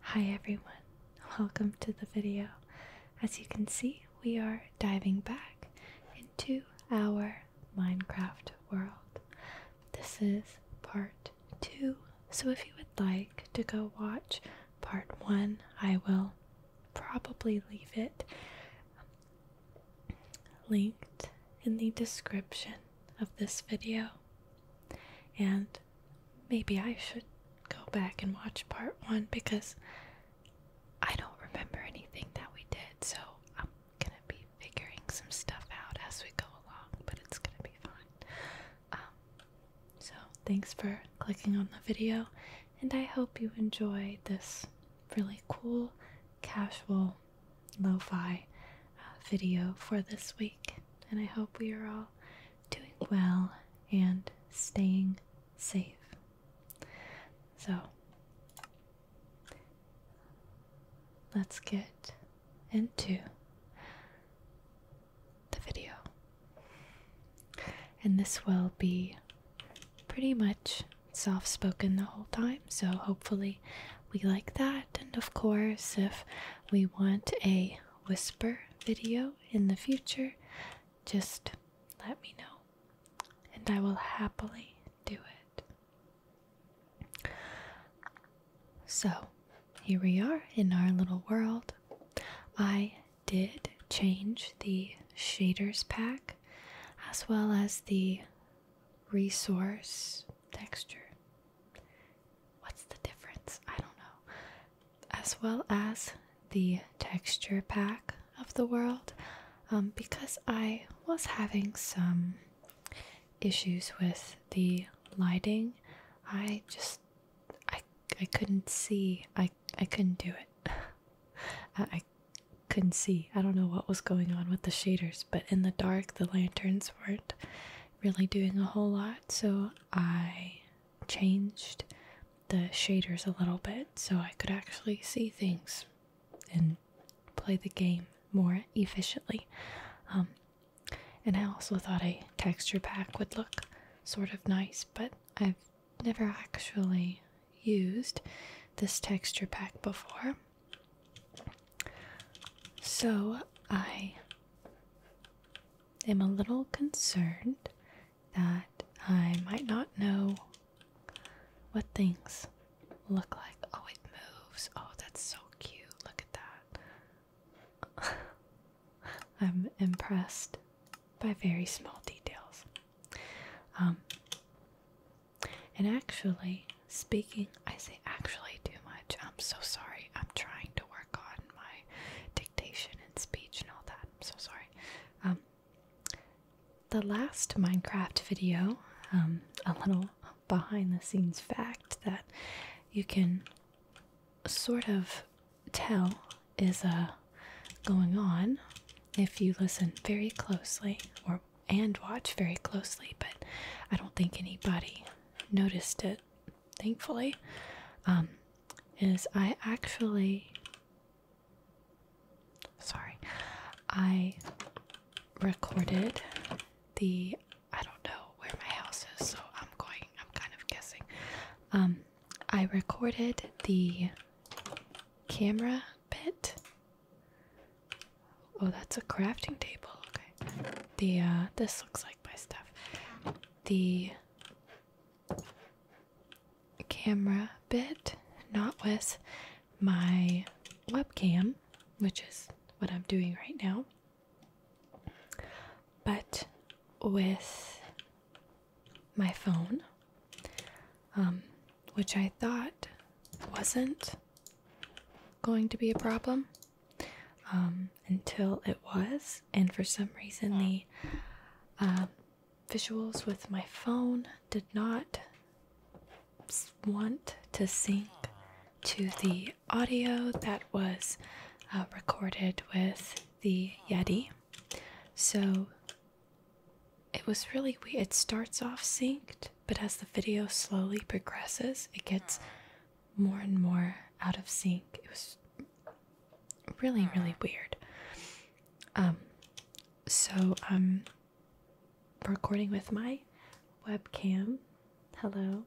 Hi everyone, welcome to the video. As you can see, we are diving back into our Minecraft world. This is part two, so if you would like to go watch part one, I will probably leave it linked in the description of this video. And maybe I should go back and watch part one because I don't remember anything that we did, so I'm gonna be figuring some stuff out as we go along, but it's gonna be fine. Um, so, thanks for clicking on the video, and I hope you enjoy this really cool, casual, lo fi uh, video for this week. And I hope we are all doing well, and staying safe. So, let's get into the video. And this will be pretty much soft spoken the whole time, so hopefully we like that. And of course, if we want a whisper video in the future, just let me know and I will happily do it. So, here we are in our little world. I did change the shaders pack as well as the resource texture What's the difference? I don't know. As well as the texture pack of the world, um, because I was having some issues with the lighting. I just I I couldn't see. I I couldn't do it. I couldn't see. I don't know what was going on with the shaders, but in the dark the lanterns weren't really doing a whole lot, so I changed the shaders a little bit so I could actually see things and play the game more efficiently. Um, and I also thought a texture pack would look sort of nice, but I've never actually used this texture pack before. So I i am a little concerned that I might not know what things look like. Oh, it moves. Oh, that's so cute. Look at that. I'm impressed by very small details. Um, and actually, speaking, I say actually too much. I'm so sorry. I'm trying to work on my dictation and speech and all that. I'm so sorry. Um, the last Minecraft video, um, a little behind the scenes fact that you can sort of tell is a uh, going on if you listen very closely or and watch very closely, but I don't think anybody noticed it thankfully, um, is I actually. Sorry, I recorded the. I don't know where my house is, so I'm going. I'm kind of guessing. Um, I recorded the camera bit. Oh, that's a crafting table. Okay. The uh, this looks like my stuff the camera bit, not with my webcam, which is what I'm doing right now, but with my phone, um, which I thought wasn't going to be a problem. Um, until it was, and for some reason, the uh, visuals with my phone did not want to sync to the audio that was uh, recorded with the Yeti. So it was really weird. It starts off synced, but as the video slowly progresses, it gets more and more out of sync. It was really, really weird. Um, so I'm um, recording with my webcam. Hello,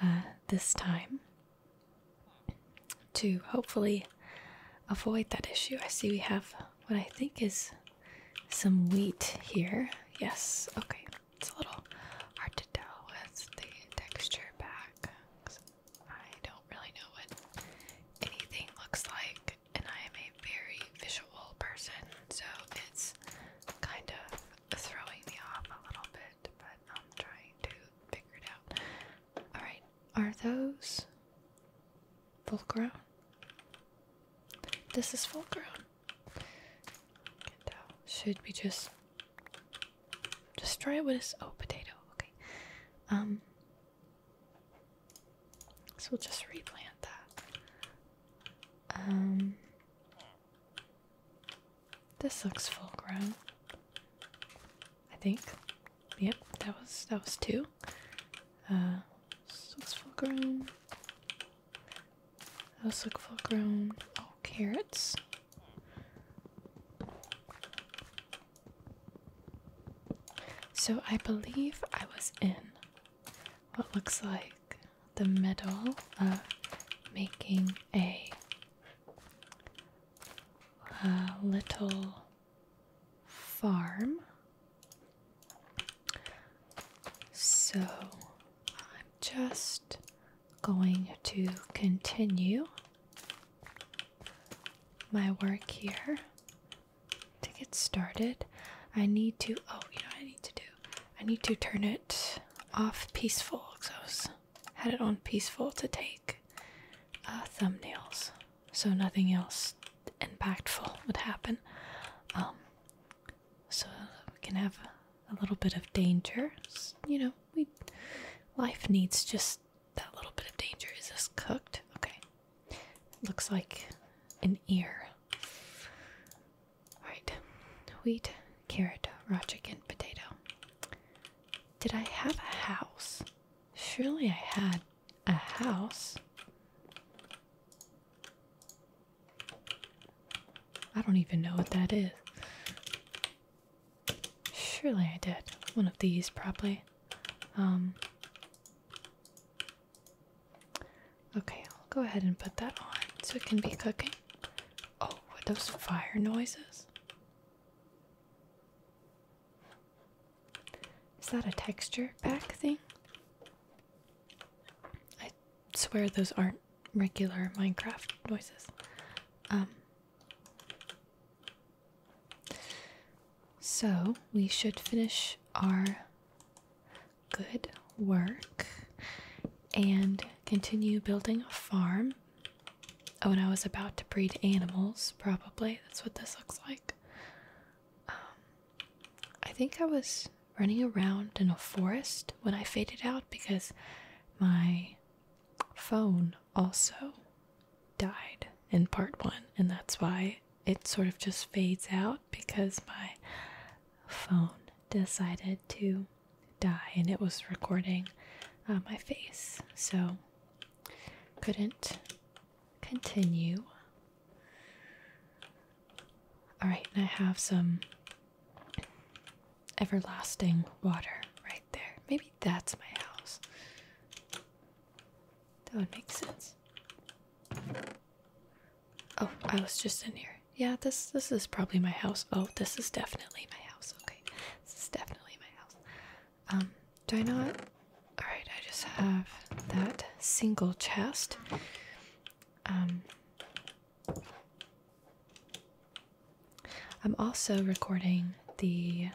uh, this time to hopefully avoid that issue. I see we have what I think is some wheat here. Yes, okay. It's a little hard to tell with the texture back. I don't really know what anything looks like, and I am a very visual person, so it's kind of throwing me off a little bit, but I'm trying to figure it out. Alright, are those full grown? This is full grown. Should we just Destroy what is oh potato, okay. Um so we'll just replant that. Um this looks full grown. I think. Yep, that was that was two. Uh so it's full grown. Those look full grown. Oh carrots. So I believe I was in what looks like the middle of making a, little farm. So I'm just going to continue my work here. To get started, I need to. Oh, you know I need to do? I need to turn it off peaceful because I was, had it on peaceful to take uh, thumbnails, so nothing else impactful would happen. Um, so we uh, can have a little bit of danger, you know, we life needs just that little bit of danger. Is this cooked? Okay. Looks like an ear. Right, Wheat, carrot, raw chicken, potato. Did I have a house? Surely I had a house. I don't even know what that is. Surely I did. One of these, probably. Um, okay, I'll go ahead and put that on so it can be cooking. Oh, were those fire noises? Is that a texture pack thing? I swear those aren't regular Minecraft noises. Um, so we should finish our good work and continue building a farm. Oh, and I was about to breed animals, probably. That's what this looks like. Um, I think I was running around in a forest when I faded out because my phone also died in part one, and that's why it sort of just fades out because my phone decided to die and it was recording uh, my face, so couldn't continue. All right, and I have some everlasting water right there. Maybe that's my house. That would make sense. Oh, I was just in here. Yeah, this this is probably my house. Oh, this is definitely my house. Okay. This is definitely my house. Um, do I not Alright, I just have that single chest. Um I'm also recording the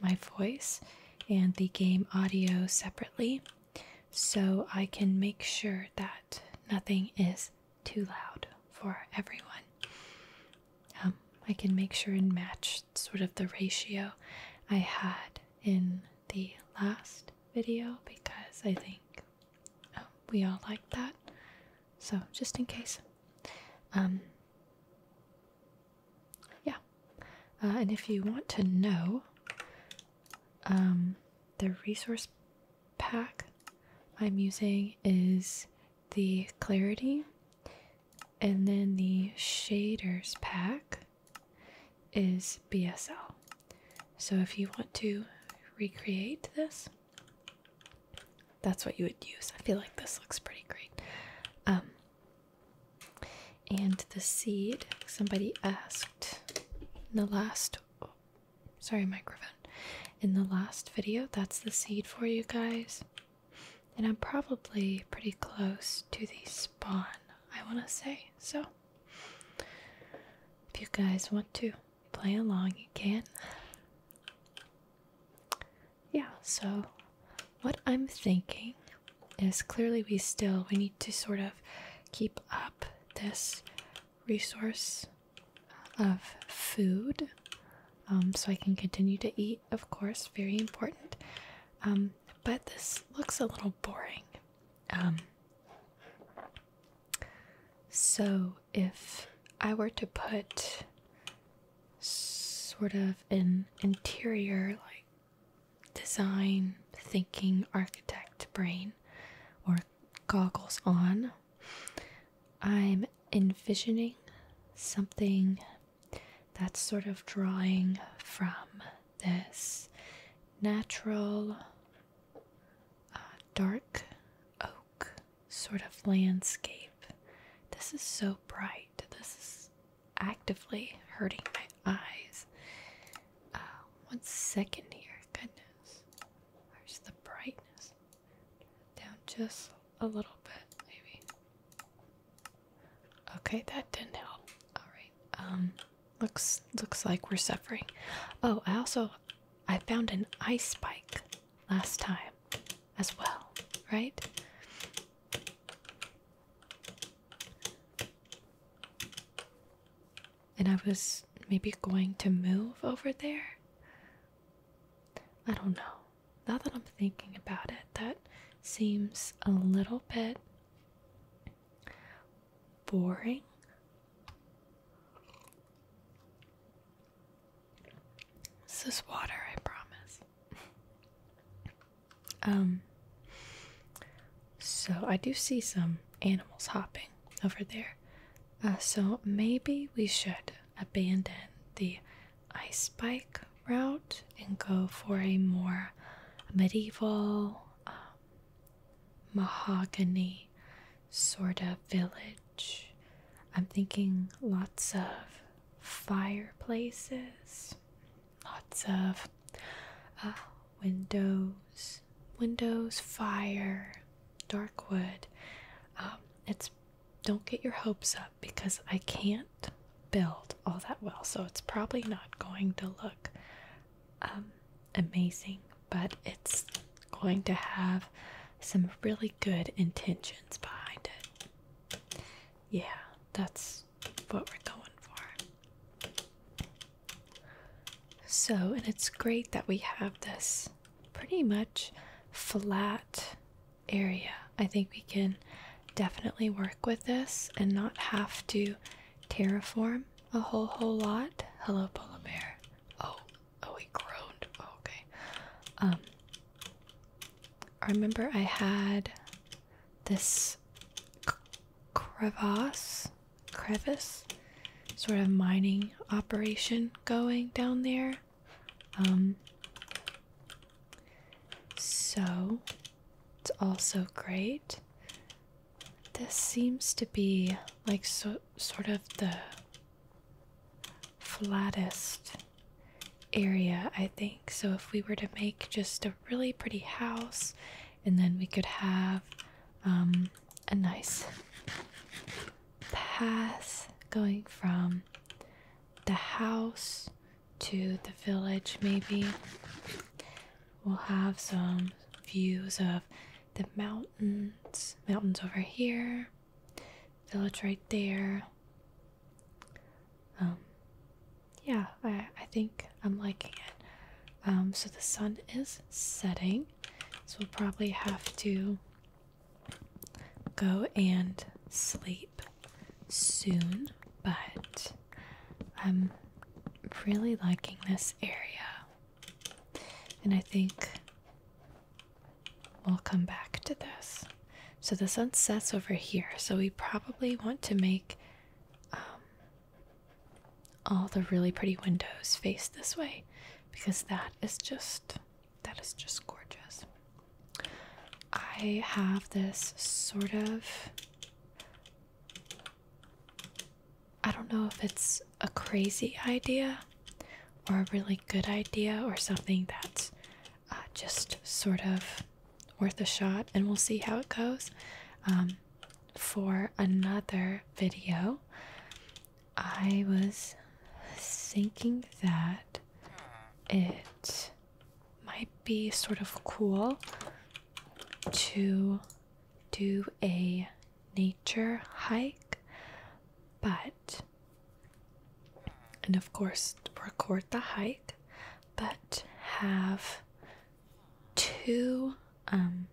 my voice and the game audio separately so I can make sure that nothing is too loud for everyone. Um, I can make sure and match sort of the ratio I had in the last video because I think um, we all like that. So, just in case. Um, yeah, uh, and if you want to know um, the resource pack I'm using is the clarity, and then the shaders pack is BSL. So if you want to recreate this, that's what you would use. I feel like this looks pretty great. Um, and the seed, somebody asked in the last, sorry, microphone, in the last video. That's the seed for you guys. And I'm probably pretty close to the spawn, I want to say. So, if you guys want to play along, you can yeah, so what I'm thinking is clearly we still we need to sort of keep up this resource of food um, so I can continue to eat, of course, very important. Um, but this looks a little boring. Um, so if I were to put sort of an interior like design thinking architect brain or goggles on i'm envisioning something that's sort of drawing from this natural uh, dark oak sort of landscape. This is so bright. This is actively hurting my eyes. Uh, one second here. Goodness. Where's the brightness? Down just a little bit, maybe. Okay, that didn't help. Alright. Um, looks looks like we're suffering. Oh, I also I found an ice spike last time as well, right? And I was maybe going to move over there. I don't know. Now that I'm thinking about it, that seems a little bit boring. This is water, I promise. um, so I do see some animals hopping over there. Uh, so maybe we should abandon the ice bike route and go for a more medieval um, mahogany sort of village I'm thinking lots of fireplaces, lots of uh, windows, windows, fire, dark wood. Um, it's don't get your hopes up because I can't build all that well, so it's probably not going to look um, amazing, but it's going to have some really good intentions behind it. Yeah, that's what we're going for. So, and it's great that we have this pretty much flat area. I think we can definitely work with this and not have to terraform a whole whole lot. Hello, polar bear. Oh, Oh, he groaned. Oh, okay. Um, I remember I had this crevasse, crevasse, sort of mining operation going down there. Um, so it's also great. This seems to be like so, sort of the flattest area, I think. So if we were to make just a really pretty house, and then we could have um, a nice path going from the house to the village, maybe. We'll have some views of the mountains, mountains over here, village right there, um, yeah, I, I think I'm liking it. Um, so the sun is setting, so we'll probably have to go and sleep soon, but I'm really liking this area. And I think We'll come back to this. So the sun sets over here, so we probably want to make um, all the really pretty windows face this way because that is just that is just gorgeous. I have this sort of I don't know if it's a crazy idea or a really good idea or something that's uh, just sort of worth a shot, and we'll see how it goes um, for another video. I was thinking that it might be sort of cool to do a nature hike, but and of course record the hike but have two um,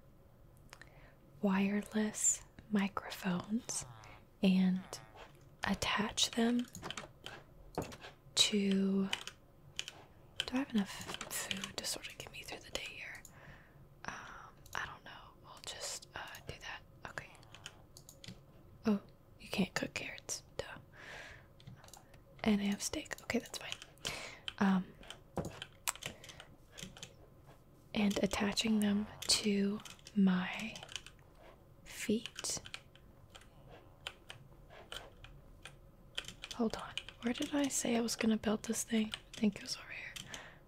wireless microphones and attach them to do I have enough food to sort of get me through the day here? Um, I don't know. We'll just uh, do that. Okay. Oh, you can't cook carrots, duh. And I have steak. Okay, that's fine. Um, and attaching them to my feet. Hold on. Where did I say I was gonna build this thing? I think it was over here.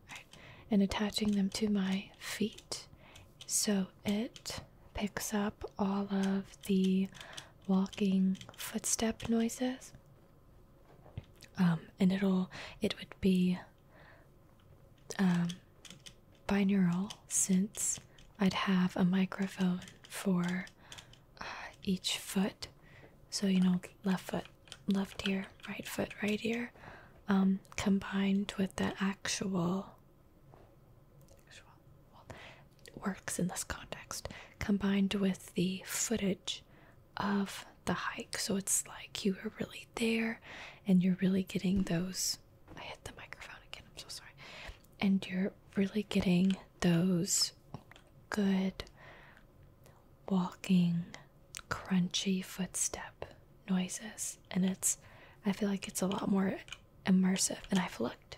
Alright. And attaching them to my feet so it picks up all of the walking footstep noises. Um, and it'll it would be um, binaural since I'd have a microphone for uh, each foot. So you know, left foot, left ear, right foot, right ear, um, combined with the actual works in this context, combined with the footage of the hike. So it's like you are really there and you're really getting those. I hit the microphone again, I'm so sorry. And you're really getting those good walking, crunchy footstep noises. And it's, I feel like it's a lot more immersive and I've looked.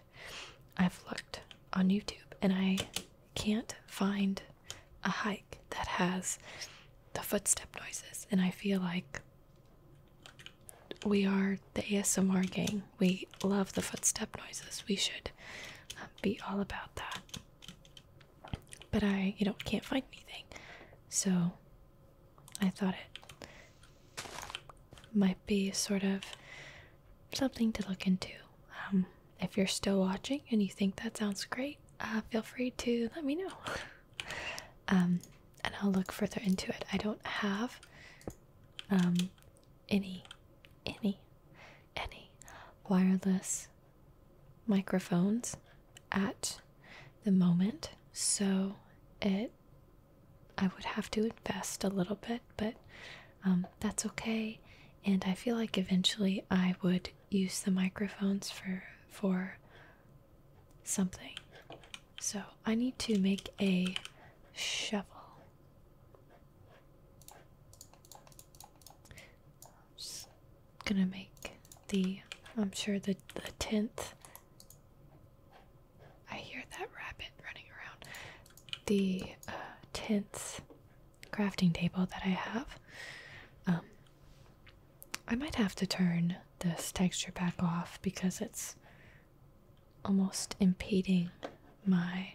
I've looked on YouTube and I can't find a hike that has the footstep noises and I feel like we are the ASMR gang. We love the footstep noises. We should um, be all about that. But I, you know, can't find anything. So I thought it might be sort of something to look into. Um, if you're still watching and you think that sounds great, uh, feel free to let me know. Um, and I'll look further into it. I don't have um, any, any, any wireless microphones at the moment, so it I would have to invest a little bit, but um, that's okay. And I feel like eventually I would use the microphones for for something. So I need to make a shovel. I'm just gonna make the. I'm sure the the tenth I hear that rabbit running around. The uh, tints crafting table that I have. Um, I might have to turn this texture back off because it's almost impeding my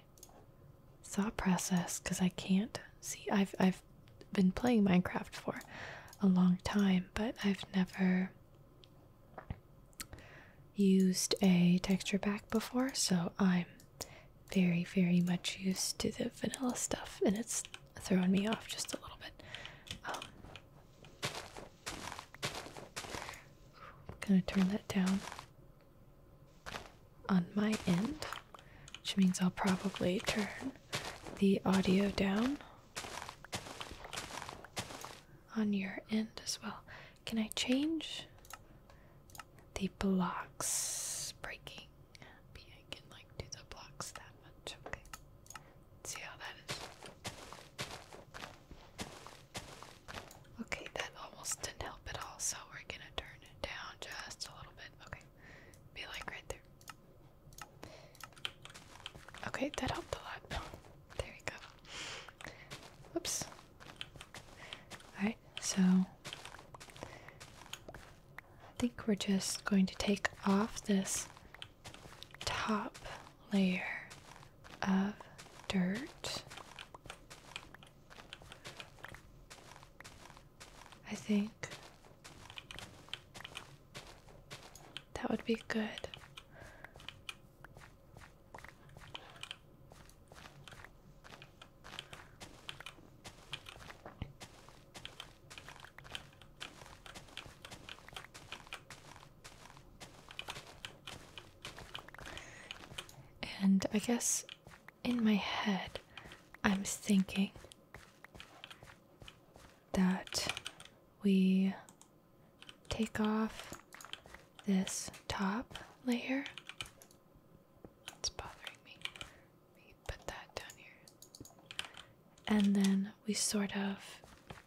thought process because I can't see. I've I've been playing Minecraft for a long time, but I've never used a texture pack before, so I'm very, very much used to the vanilla stuff, and it's throwing me off just a little bit. I'm um, gonna turn that down on my end, which means I'll probably turn the audio down on your end as well. Can I change the blocks breaking? Maybe I can like do the blocks that much. Okay. see how that is. Okay, that almost didn't help at all, so we're gonna turn it down just a little bit. Okay. Be like right there. Okay, that helped a lot. There we go. Oops. Alright, so I think we're just going to take off this top layer of dirt. I think that would be good. And I guess in my head, I'm thinking that we take off this top layer. It's bothering me. Let put that down here. And then we sort of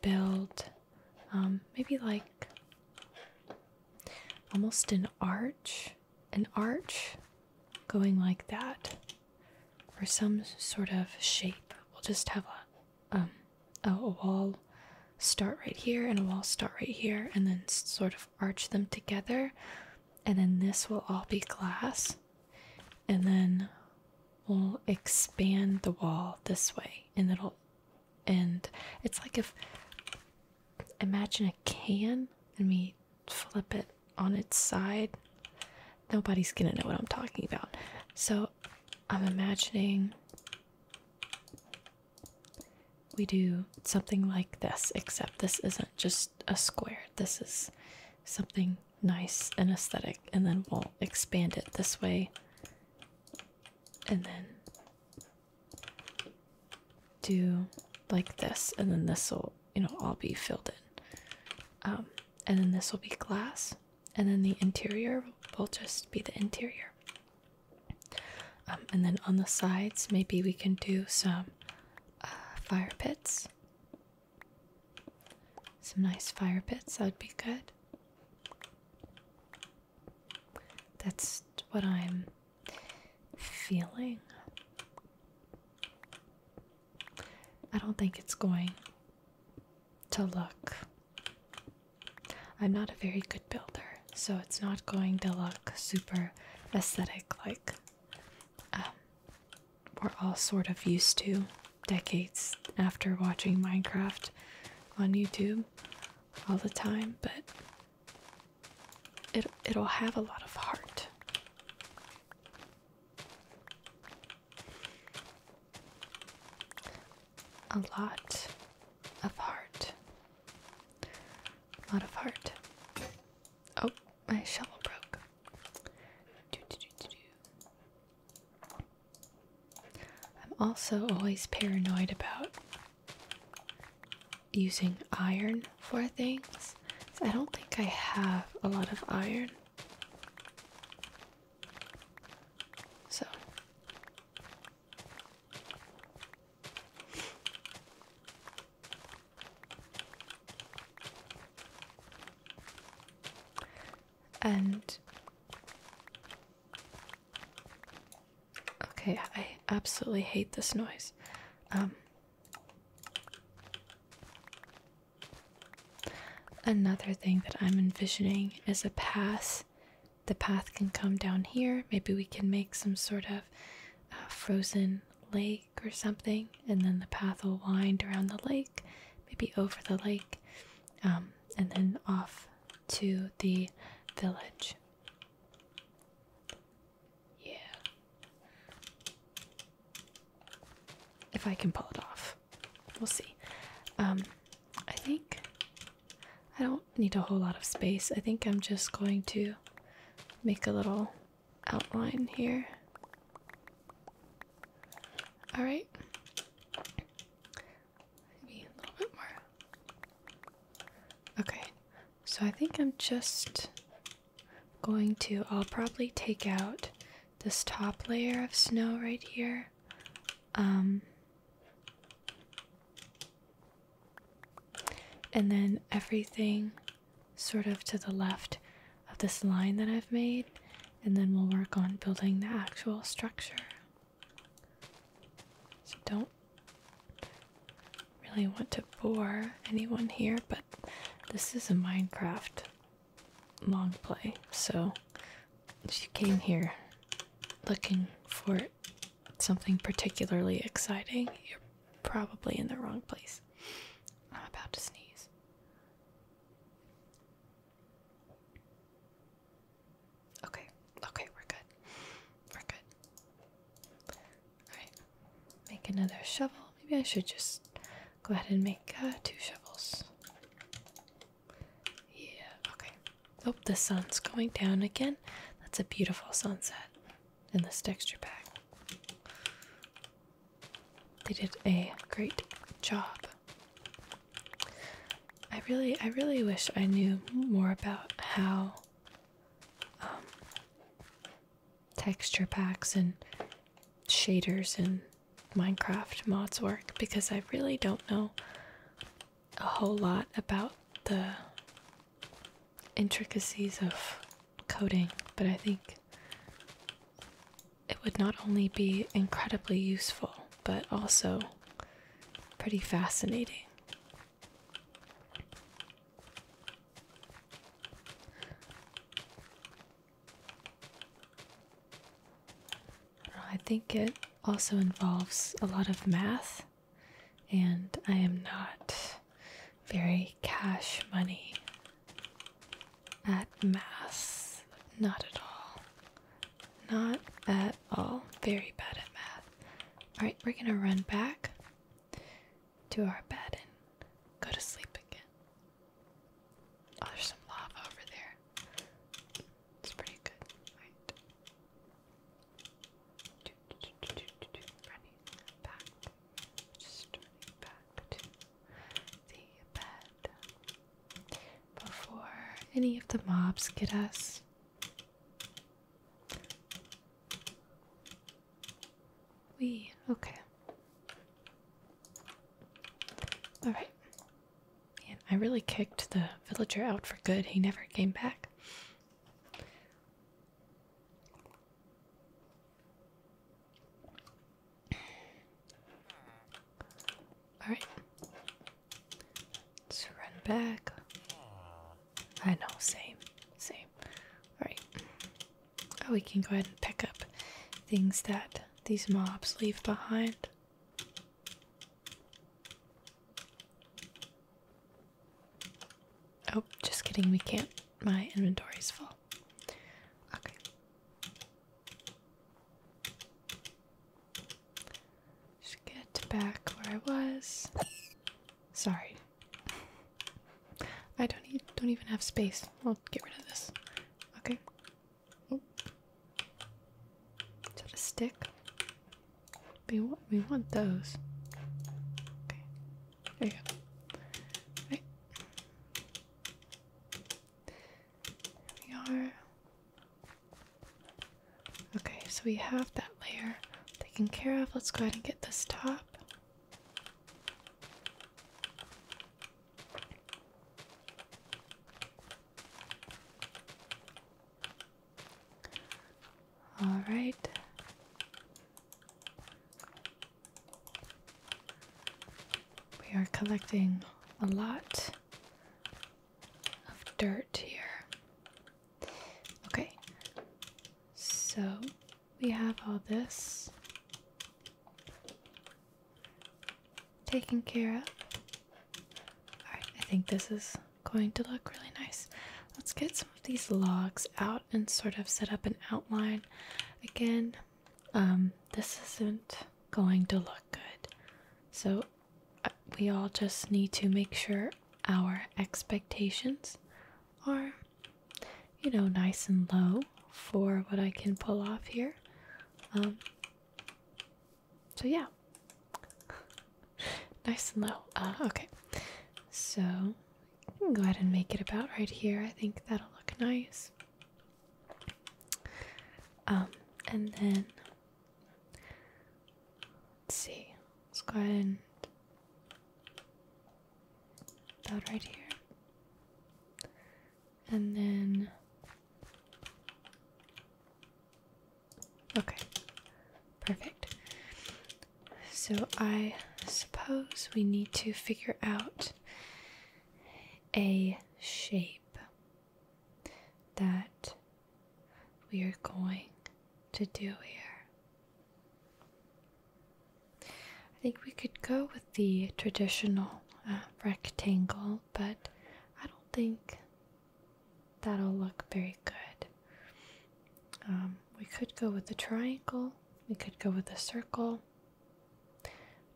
build um, maybe like almost an arch, an arch going like that for some sort of shape. We'll just have a um, a, a wall start right here and a wall start right here and then sort of arch them together and then this will all be glass and then we'll expand the wall this way and it'll and it's like if imagine a can and we flip it on its side nobody's gonna know what i'm talking about so I'm imagining we do something like this, except this isn't just a square. This is something nice and aesthetic, and then we'll expand it this way and then do like this, and then this will, you know, all be filled in. Um, and then this will be glass and then the interior will just be the interior. Um, and then on the sides, maybe we can do some uh, fire pits. Some nice fire pits, that would be good. That's what I'm feeling. I don't think it's going to look I'm not a very good builder, so it's not going to look super aesthetic like um, we're all sort of used to decades after watching Minecraft on YouTube all the time, but it, it'll have a lot of heart a lot of heart. A lot of heart. Oh, my shovel broke. I'm also always paranoid about using iron for things. I don't think I have a lot of iron. So. And okay, I absolutely hate this noise. Um, another thing that I'm envisioning is a pass the path can come down here. Maybe we can make some sort of uh, frozen lake or something, and then the path will wind around the lake, maybe over the lake, um, and then off to the village. Yeah. If I can pull it off, we'll see. Um, I think I don't need a whole lot of space. I think I'm just going to make a little outline here. All right. Maybe a little bit more. Okay. So I think I'm just going to I'll probably take out this top layer of snow right here. Um and then everything sort of to the left of this line that I've made, and then we'll work on building the actual structure. So don't really want to bore anyone here, but this is a Minecraft long play, so she came here looking for something particularly exciting, you're probably in the wrong place. I'm about to sneeze. Okay, okay, we're good. We're good. Alright, make another shovel. Maybe I should just go ahead and make uh, two shovels. Yeah, okay. Oh, the sun's going down again. That's a beautiful sunset in this texture pack. They did a great job. I really, I really wish I knew more about how um, texture packs and shaders and Minecraft mods work because I really don't know a whole lot about the intricacies of coding, but I think it would not only be incredibly useful, but also pretty fascinating. I think it also involves a lot of math, and I am not very cash money at math. Not at all. Not at all. Very bad at math. Alright, we're gonna run back to our bed and go to sleep again. Oh, there's some lava over there. It's pretty good, right? Running just running back to the bed before any of the mobs get us. We okay. All right. Man, I really kicked the villager out for good. He never came back. Alright. Let's run back. I know, same. Same. Alright. Oh, we can go ahead and pick up things that these mobs leave behind. Oh, just kidding, we can't. My inventory's full. Okay. Just get back where I was. Sorry. I don't even have space. I'll get rid of this. Okay. Oh. Is that a stick? We want, we want those. Okay. There you go. Right. we are. Okay, so we have that layer taken care of. Let's go ahead and get this top. All right. We are collecting a lot of dirt here. Okay, so we have all this taken care of. Alright, I think this is going to look really nice. Let's get some of these logs out and sort of set up an outline. Again, um, this isn't going to look good. So uh, we all just need to make sure our expectations are, you know, nice and low for what I can pull off here. Um, so yeah nice and low uh, okay so go ahead and make it about right here i think that'll look nice um and then see let's go ahead and about right here and then Okay, perfect. So I suppose we need to figure out a shape that we are going to do here. I think we could go with the traditional uh, rectangle, but I don't think that'll look very good. Um, we could go with a triangle, we could go with a circle.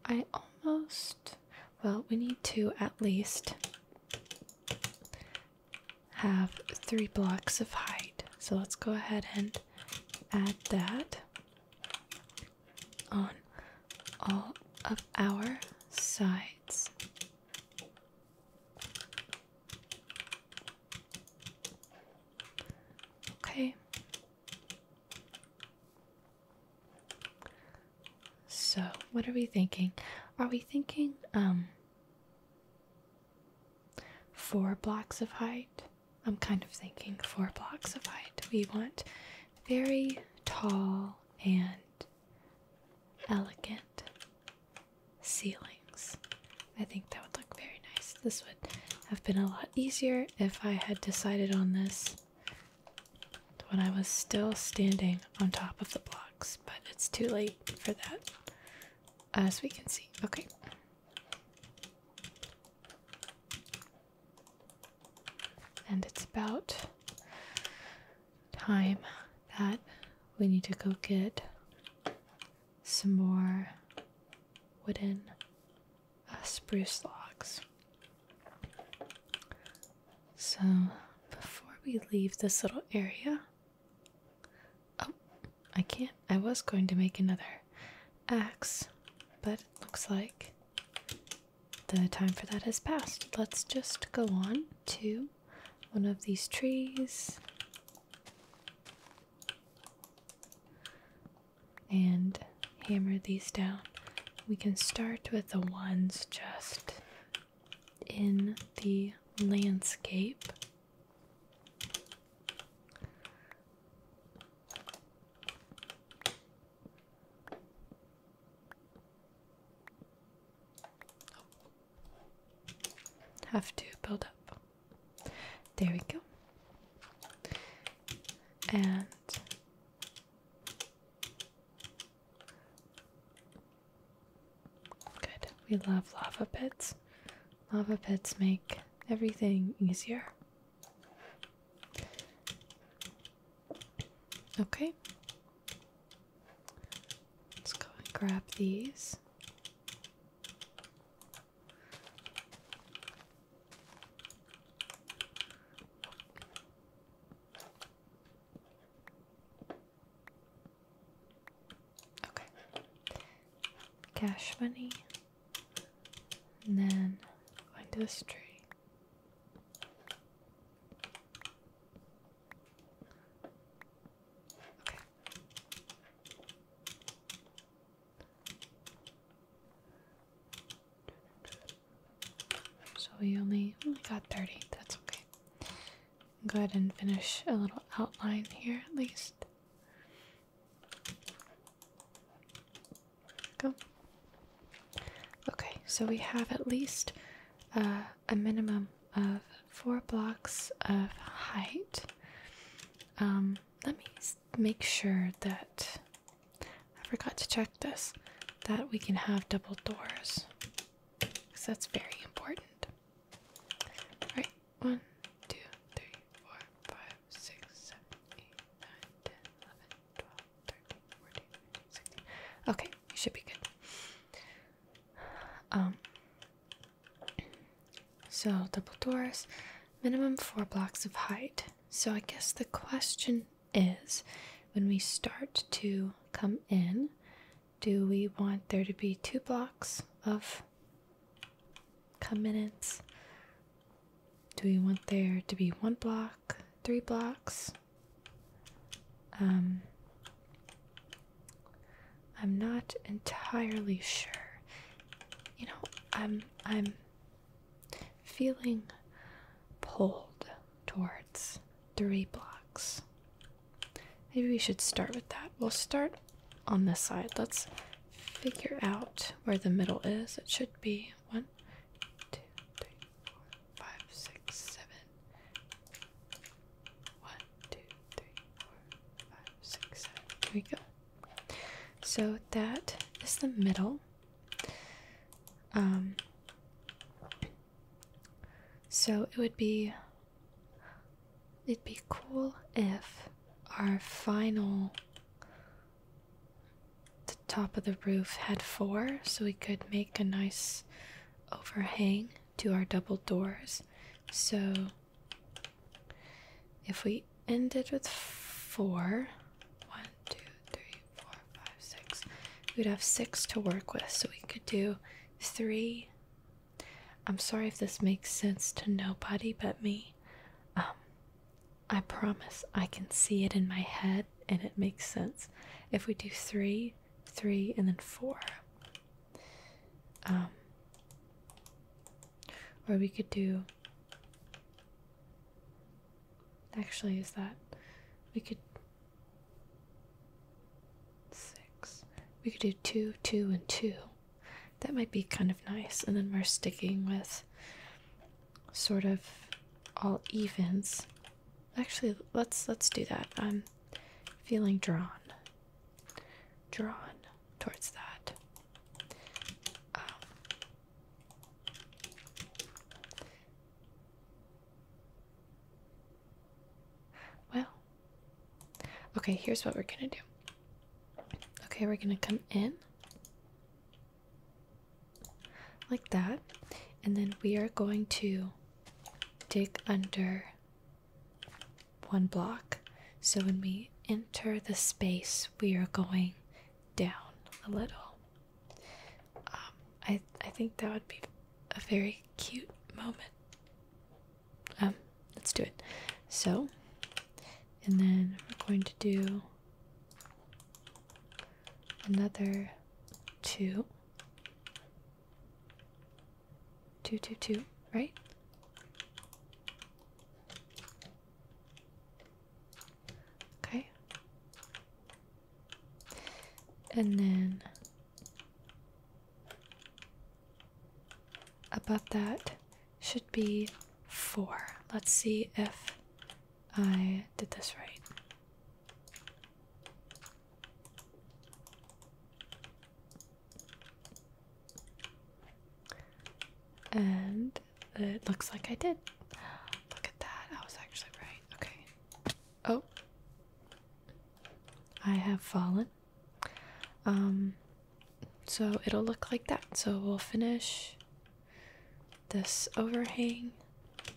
I almost, well, we need to at least have three blocks of height. So let's go ahead and add that on all of our sides. Okay. So, what are we thinking? Are we thinking um four blocks of height? I'm kind of thinking four blocks of height. We want very tall and elegant ceilings. I think that would look very nice. This would have been a lot easier if I had decided on this when I was still standing on top of the blocks, but it's too late for that, as we can see. Okay. And it's about time that we need to go get some more wooden uh, spruce logs. So, before we leave this little area, oh, I can't. I was going to make another axe, but it looks like the time for that has passed. Let's just go on to one of these trees. And hammer these down. We can start with the ones just in the landscape. Have to build up. There we go. And good. We love lava pits. Lava pits make everything easier. Okay. Let's go and grab these. Okay. Cash money. And then go into this tree. So we only, only got 30. That's okay. Go ahead and finish a little outline here at least. Go. Okay, so we have at least uh, a minimum of four blocks of height. Um, let me make sure that I forgot to check this that we can have double doors because that's very important. All right, one, two, three, four, five, six, seven, eight, nine, ten, eleven, twelve, thirteen, fourteen, fifteen, sixteen. Okay, you should be good. Um, so, double doors, minimum four blocks of height. So, I guess the question is when we start to come in, do we want there to be two blocks of come commitments? Do we want there to be one block, three blocks? Um, I'm not entirely sure. You know, I'm I'm feeling pulled towards three blocks. Maybe we should start with that. We'll start on this side. Let's figure out where the middle is. It should be one, two, three, four, five, six, seven. One, two, three, four, five, six, seven. There we go. So that is the middle. Um, so it would be it'd be cool if our final the top of the roof had four so we could make a nice overhang to our double doors. So if we ended with four, one, two, three, four, five, six, we'd have six to work with. So we could do three. I'm sorry if this makes sense to nobody but me. Um, I promise I can see it in my head and it makes sense. If we do three, three, and then four. Um, or we could do. Actually, is that. We could. Six. We could do two, two, and two. That might be kind of nice. And then we're sticking with sort of all evens. Actually, let's let's do that. Um feeling drawn drawn towards that um, well okay here's what we're gonna do okay we're gonna come in like that and then we are going to dig under one block. So when we enter the space, we are going down a little. Um, I I think that would be a very cute moment. Um, let's do it. So, and then we're going to do another two Two, two, two, right? Okay. And then above that should be four. Let's see if I did this right. And it looks like I did. Look at that. I was actually right. Okay. Oh. I have fallen. Um so it'll look like that. So we'll finish this overhang.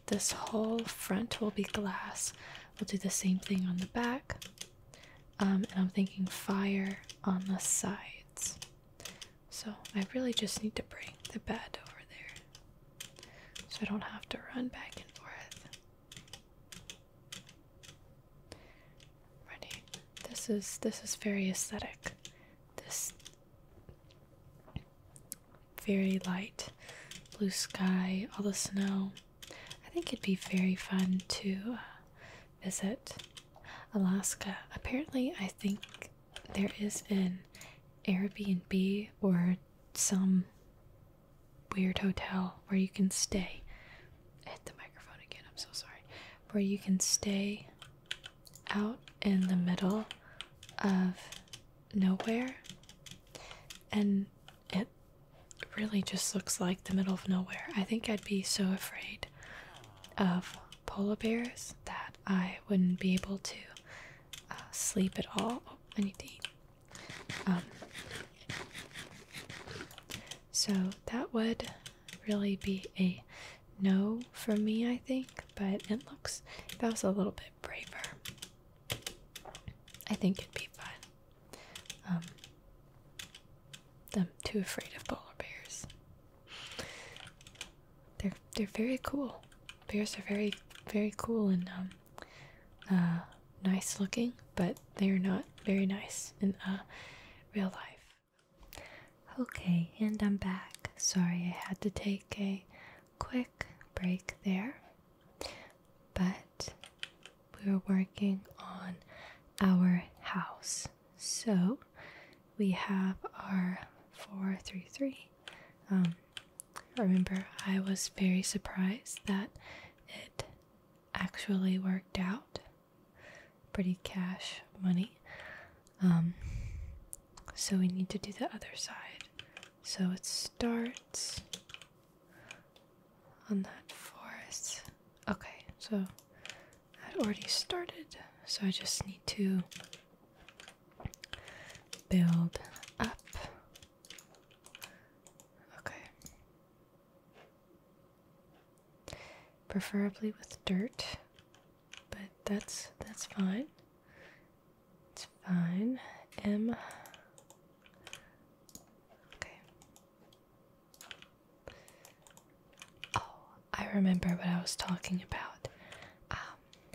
This whole front will be glass. We'll do the same thing on the back. Um, and I'm thinking fire on the sides. So I really just need to bring the bed over there so I don't have to run back and forth. Ready. This is this is very aesthetic. This very light blue sky, all the snow. I think it'd be very fun to uh, visit Alaska. Apparently, I think there is an Airbnb or some weird hotel where you can stay. hit the microphone again, I'm so sorry. Where you can stay out in the middle of nowhere and it really just looks like the middle of nowhere. I think I'd be so afraid of polar bears that I wouldn't be able to uh, sleep at all. Oh, I need to eat. Um, so that would really be a no for me, I think, but it looks, that was a little bit braver, I think it'd be fun. Um, I'm too afraid of polar bears. They're they're very cool. Bears are very very cool and um, uh, nice looking, but they're not very nice in uh, real life. Okay, and I'm back. Sorry, I had to take a quick break there. But we were working on our house. So we have our 433. Um, remember I was very surprised that it actually worked out. Pretty cash money. Um, so we need to do the other side. So it starts on that forest. Okay, so I'd already started. So I just need to build up. Okay. Preferably with dirt, but that's that's fine. It's fine. M Okay. Oh, I remember what I was talking about. Um,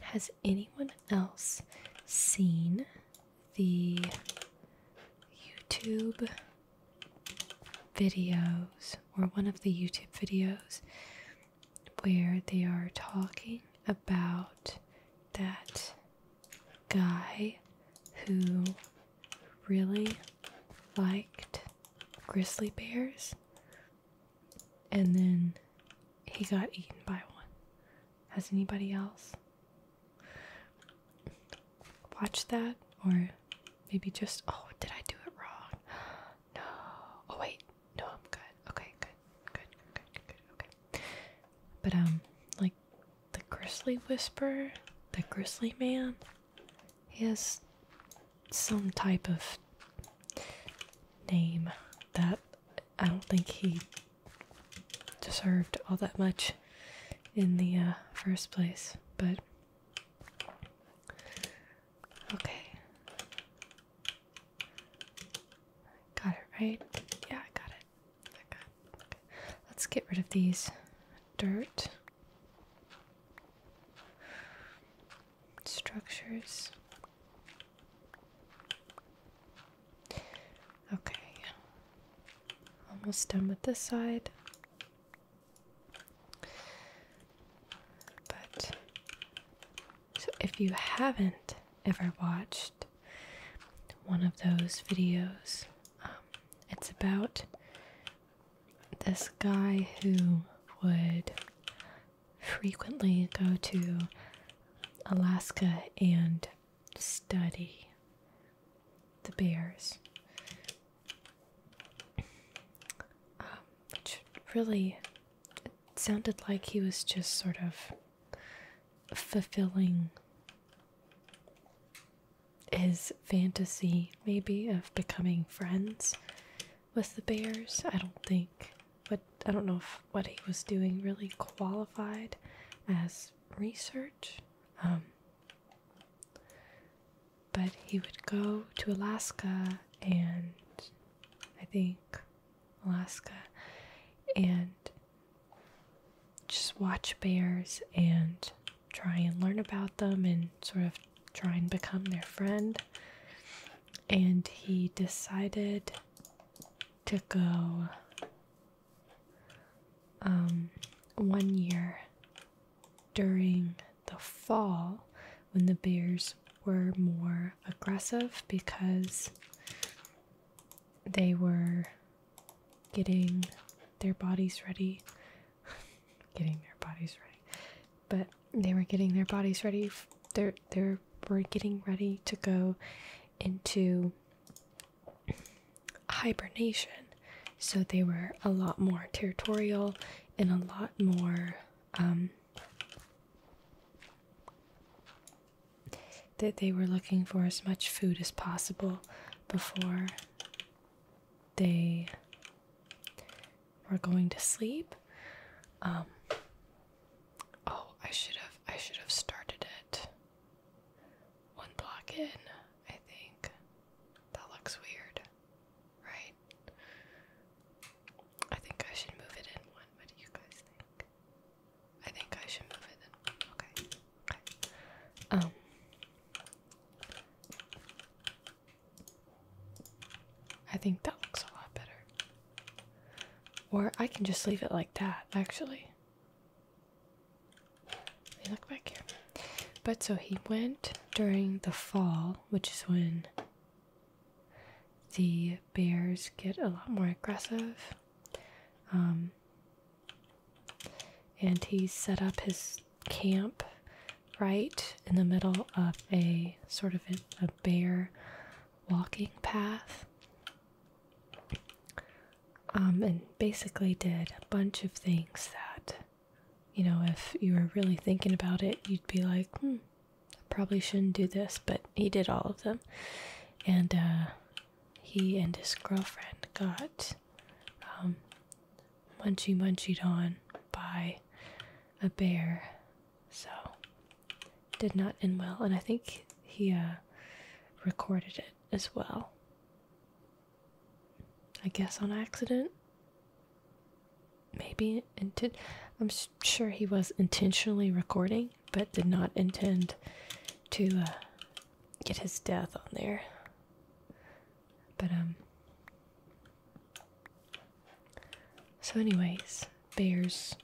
has anyone else seen the YouTube videos or one of the YouTube videos where they are talking about that guy who really liked grizzly bears and then he got eaten by one. Has anybody else watched that? Or maybe just. Oh, did I do it wrong? No. Oh, wait. No, I'm good. Okay, good. Good, good, good, good, good. Okay. But, um, like, the Grizzly Whisperer, the Grizzly Man, he has some type of name that I don't think he deserved all that much in the uh, first place, but okay. Got it right? Yeah, I got it. Okay. Let's get rid of these dirt structures. Okay. Almost done with this side. But so if you haven't ever watched one of those videos um, it's about this guy who would frequently go to Alaska and study the bears, um, which really sounded like he was just sort of fulfilling his fantasy maybe of becoming friends with the bears. I don't think but I don't know if what he was doing really qualified as research. Um, but he would go to Alaska and I think Alaska and just watch bears and try and learn about them and sort of try and become their friend. And he decided to go um, one year during the fall when the bears were more aggressive because they were getting their bodies ready. getting their bodies ready. But they were getting their bodies ready. They're, they were getting ready to go into hibernation. So they were a lot more territorial and a lot more um, that they were looking for as much food as possible before they were going to sleep. Um, oh, I should have I should have started it one block in. I think that looks weird, right? I think I should move it in one. What do you guys think? I think I should move it in. Okay. Um, I think that looks a lot better. Or I can just leave it like that, actually. Let look back But so he went during the fall, which is when the bears get a lot more aggressive. Um, and he set up his camp right in the middle of a sort of a, bare walking path um, and basically did a bunch of things that you know if you were really thinking about it you'd be like hmm, probably shouldn't do this but he did all of them and uh, he and his girlfriend got um, munchie munchied on by a bear. So did not end well, and I think he uh, recorded it as well. I guess on accident. Maybe And did I'm sure he was intentionally recording, but did not intend to uh, get his death on there. But, um. So, anyways, bears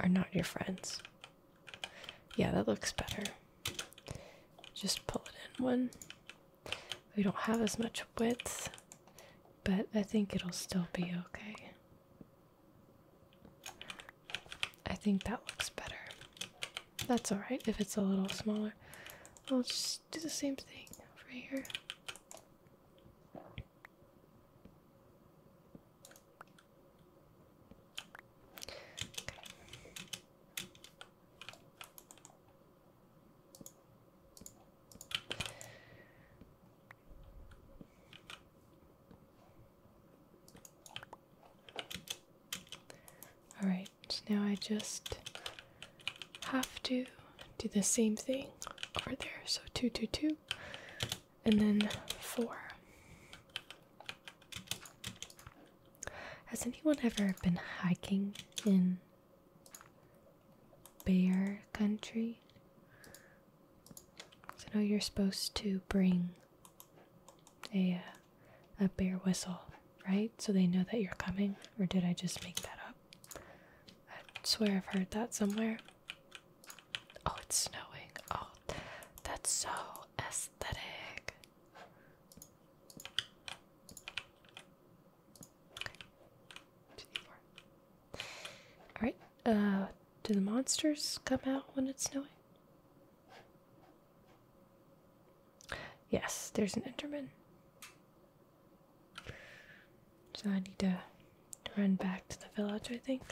are not your friends. Yeah, that looks better. Just pull it in one. We don't have as much width, but I think it'll still be okay. I think that looks better. That's alright if it's a little smaller. I'll just do the same thing over here. Alright, now I just have to do the same thing over there. So two, two, two, and then four. Has anyone ever been hiking in bear country? So now you're supposed to bring a uh, a bear whistle, right? So they know that you're coming, or did I just make that up? I swear I've heard that somewhere. Oh, it's snowing. Oh, that's so aesthetic. Alright, uh, do the monsters come out when it's snowing? Yes, there's an Enderman. So I need to run back to the village, I think.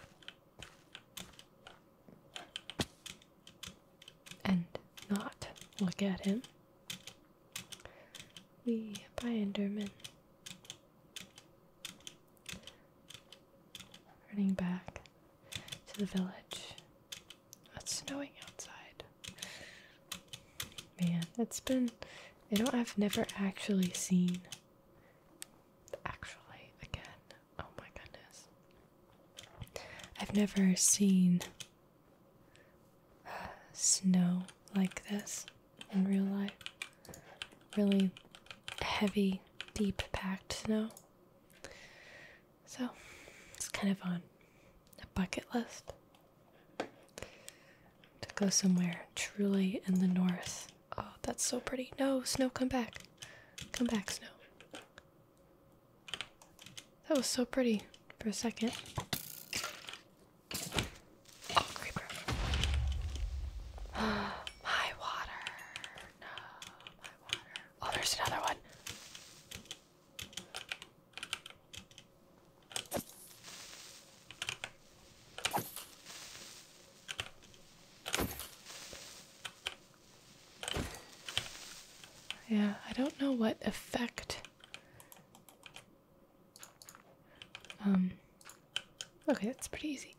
And not look at him. We by Enderman. Running back to the village. It's snowing outside. Man, it's been. You know, I've never actually seen. Actually, again. Oh my goodness. I've never seen snow like this in real life. Really heavy, deep packed snow. So it's kind of on a bucket list to go somewhere truly in the north. Oh, that's so pretty. No, snow, come back. Come back, snow. That was so pretty for a second. Oh, creeper. my water. No, my water. Oh, there's another one. Yeah, I don't know what effect. Um, okay, that's pretty easy.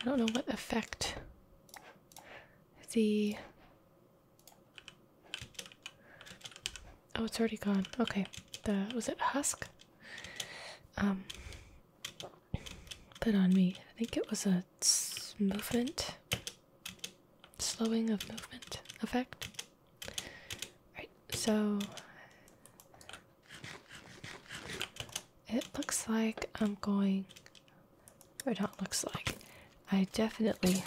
I don't know what effect the Oh, it's already gone. Okay. The was it husk? Um put on me. I think it was a movement slowing of movement effect. Right. So it looks like I'm going or it looks like. I definitely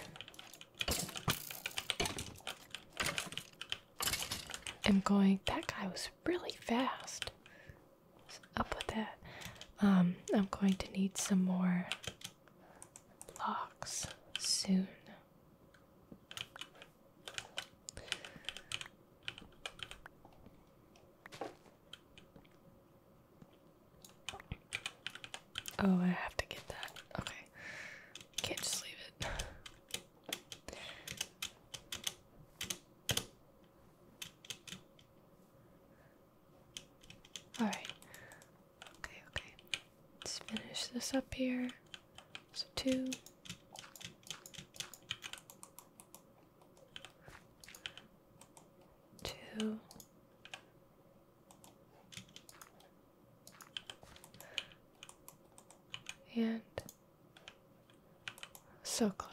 am going. That guy was really fast. So up with that. Um, I'm going to need some more blocks soon. Oh, I have to get that. Okay. Can't just leave it. Alright. Okay, okay. Let's finish this up here. So, two. Two. And so close.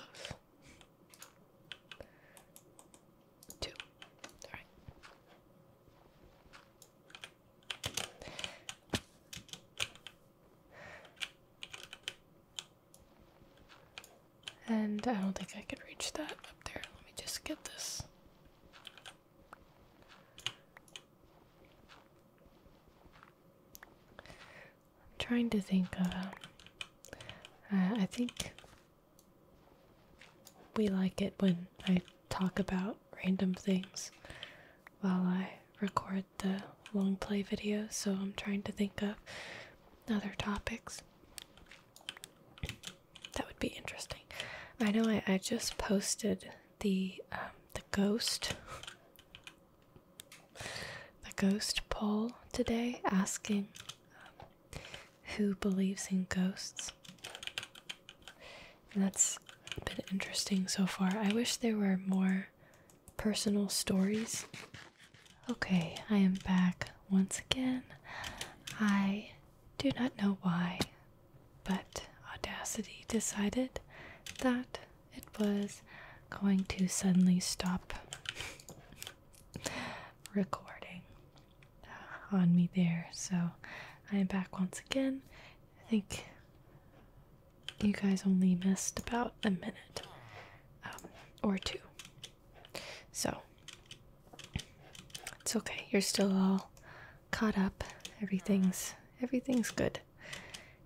Two. All right. And I don't think I can reach that up there. Let me just get this. I'm trying to think of. Uh, uh, I think we like it when I talk about random things while I record the long play video. so I'm trying to think of other topics. That would be interesting. I know I, I just posted the um, the ghost the ghost poll today asking um, who believes in ghosts. And that's been interesting so far. I wish there were more personal stories. Okay, I am back once again. Hi do not know why, but Audacity decided that it was going to suddenly stop recording uh, on me there. So I'm back once again. I think you guys only missed about a minute um, or two. So it's okay. You're still all caught up. Everything's everything's good.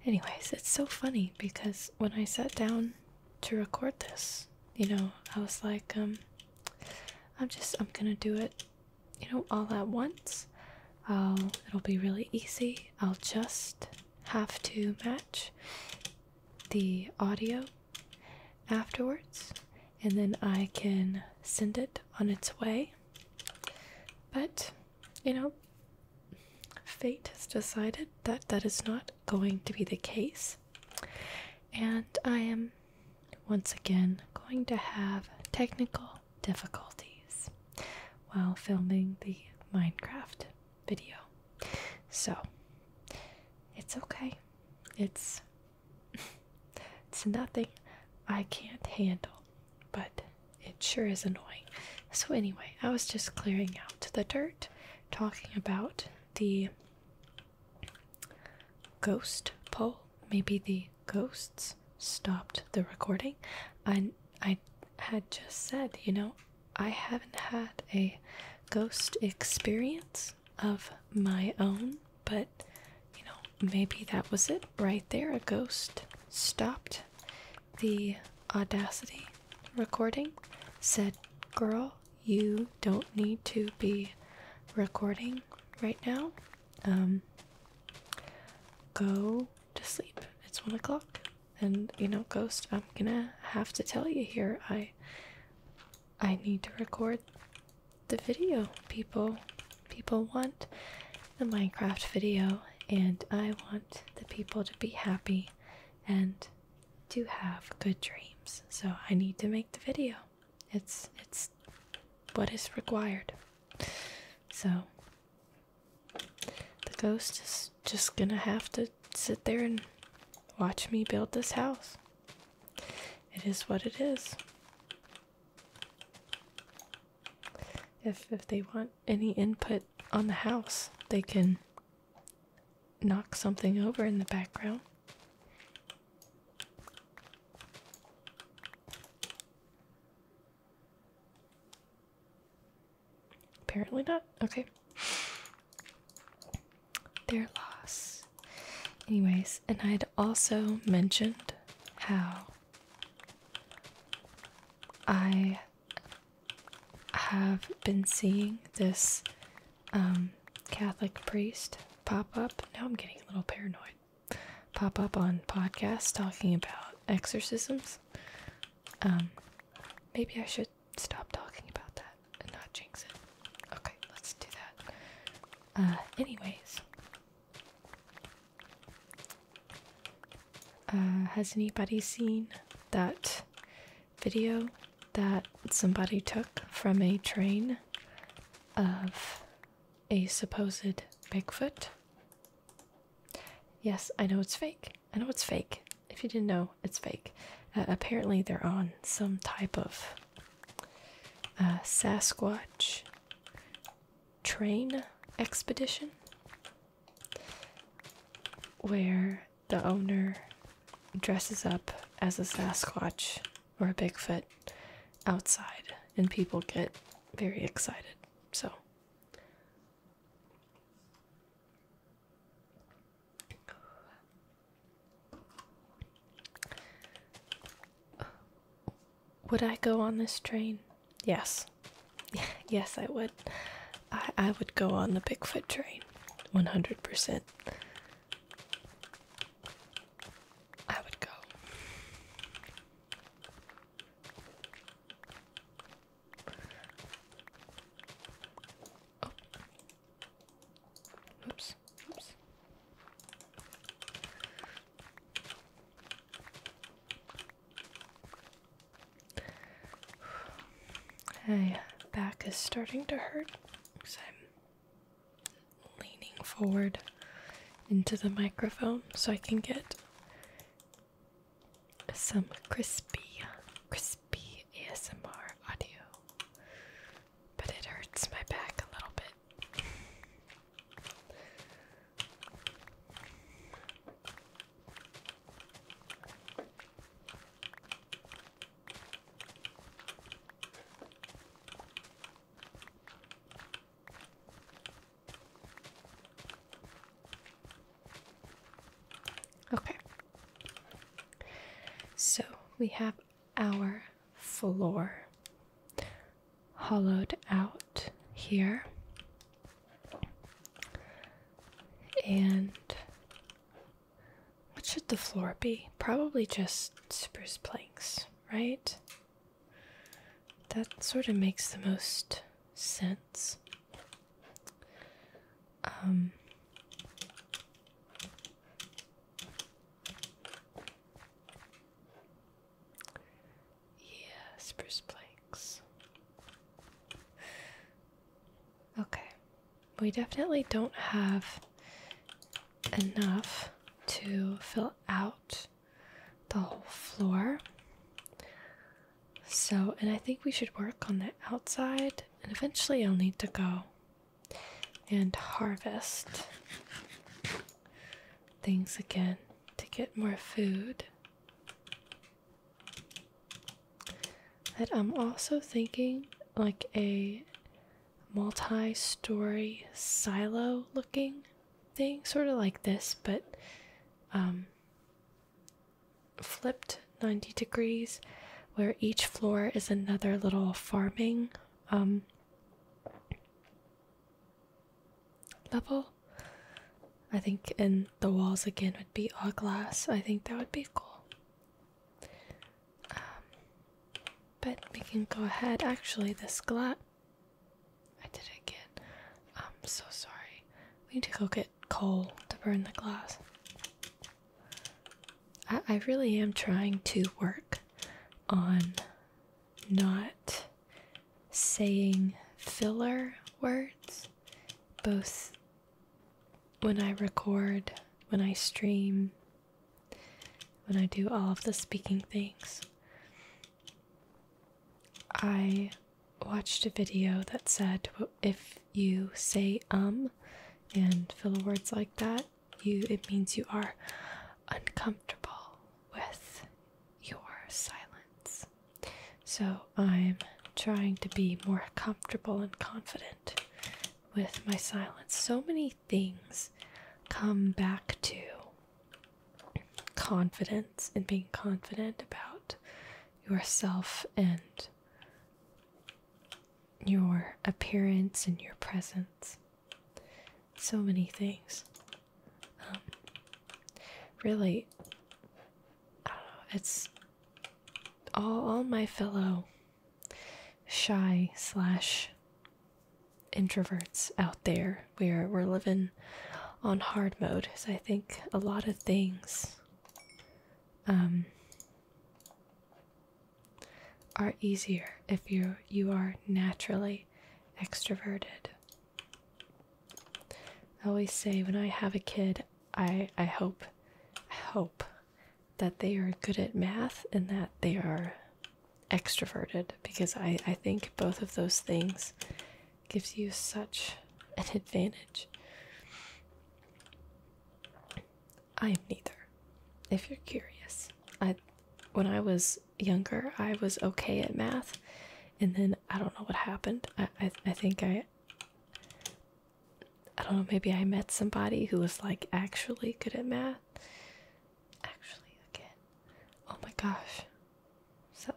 Anyways, it's so funny because when I sat down to record this, you know, I was like, um, I'm just I'm gonna do it, you know, all at once. I'll it'll be really easy. I'll just have to match the audio afterwards, and then I can send it on its way. But, you know, fate has decided that that is not going to be the case, and I am once again going to have technical difficulties while filming the Minecraft video. So, it's okay. It's it's nothing I can't handle, but it sure is annoying. So, anyway, I was just clearing out the dirt, talking about the ghost poll. Maybe the ghosts stopped the recording. I, I had just said, you know, I haven't had a ghost experience of my own but you know, maybe that was it right there. A ghost stopped the Audacity recording, said, Girl, you don't need to be recording right now. Um, go to sleep. It's one o'clock. And you know, ghost, I'm gonna have to tell you here. I I need to record the video people people want the Minecraft video and I want the people to be happy and to have good dreams. So I need to make the video. It's it's what is required. So the ghost is just gonna have to sit there and watch me build this house it is what it is. If if they want any input on the house, they can knock something over in the background. Apparently not. Okay their loss. Anyways, and I had also mentioned how I have been seeing this um, Catholic priest pop up. Now I'm getting a little paranoid. Pop up on podcasts talking about exorcisms. Um, maybe I should stop talking about that and not jinx it. Okay, let's do that. Uh, anyways. Uh, has anybody seen that video that somebody took from a train of a supposed Bigfoot? Yes, I know it's fake. I know it's fake. If you didn't know, it's fake. Uh, apparently, they're on some type of a uh, Sasquatch train expedition where the owner dresses up as a Sasquatch or a Bigfoot outside, and people get very excited. So, would I go on this train? Yes. yes, I would. I, would go on the Bigfoot train. 100%. I would go. Oops. Oops. My back is starting to hurt because I'm leaning forward into the microphone so I can get some crispy, crispy ASMR audio. But it hurts my back a little bit. Okay. So we have our floor hollowed out here and what should the floor be? Probably just spruce planks, right? That sort of makes the most sense. Um, yeah, spruce planks. Okay. We definitely don't have enough to fill out the whole floor. So, and I think we should work on the outside, and eventually I'll need to go and harvest things again to get more food. That I'm also thinking like a multi story silo looking thing, sort of like this, but um, flipped 90 degrees, where each floor is another little farming um, level. I think and the walls again would be all glass. I think that would be cool. Um, but we can go ahead. Actually, this glass. I did it again. I'm so sorry. We need to go get coal to burn the glass. I really am trying to work on not saying filler words, both when I record, when I stream, when I do all of the speaking things. I watched a video that said if you say um and filler words like that, you it means you are uncomfortable with your silence. So I'm trying to be more comfortable and confident with my silence. So many things come back to confidence and being confident about yourself and your appearance and your presence so many things. Um, really, it's all, all my fellow shy slash introverts out there. We're, we're living on hard mode, so I think a lot of things um, are easier if you you are naturally extroverted. I always say when I have a kid, I I hope hope that they are good at math and that they are extroverted because I, I think both of those things gives you such an advantage. I'm neither. If you're curious, I when I was younger, I was okay at math, and then I don't know what happened. I I, think I I don't know. Maybe I met somebody who was like actually good at math. Actually, again, oh my gosh, so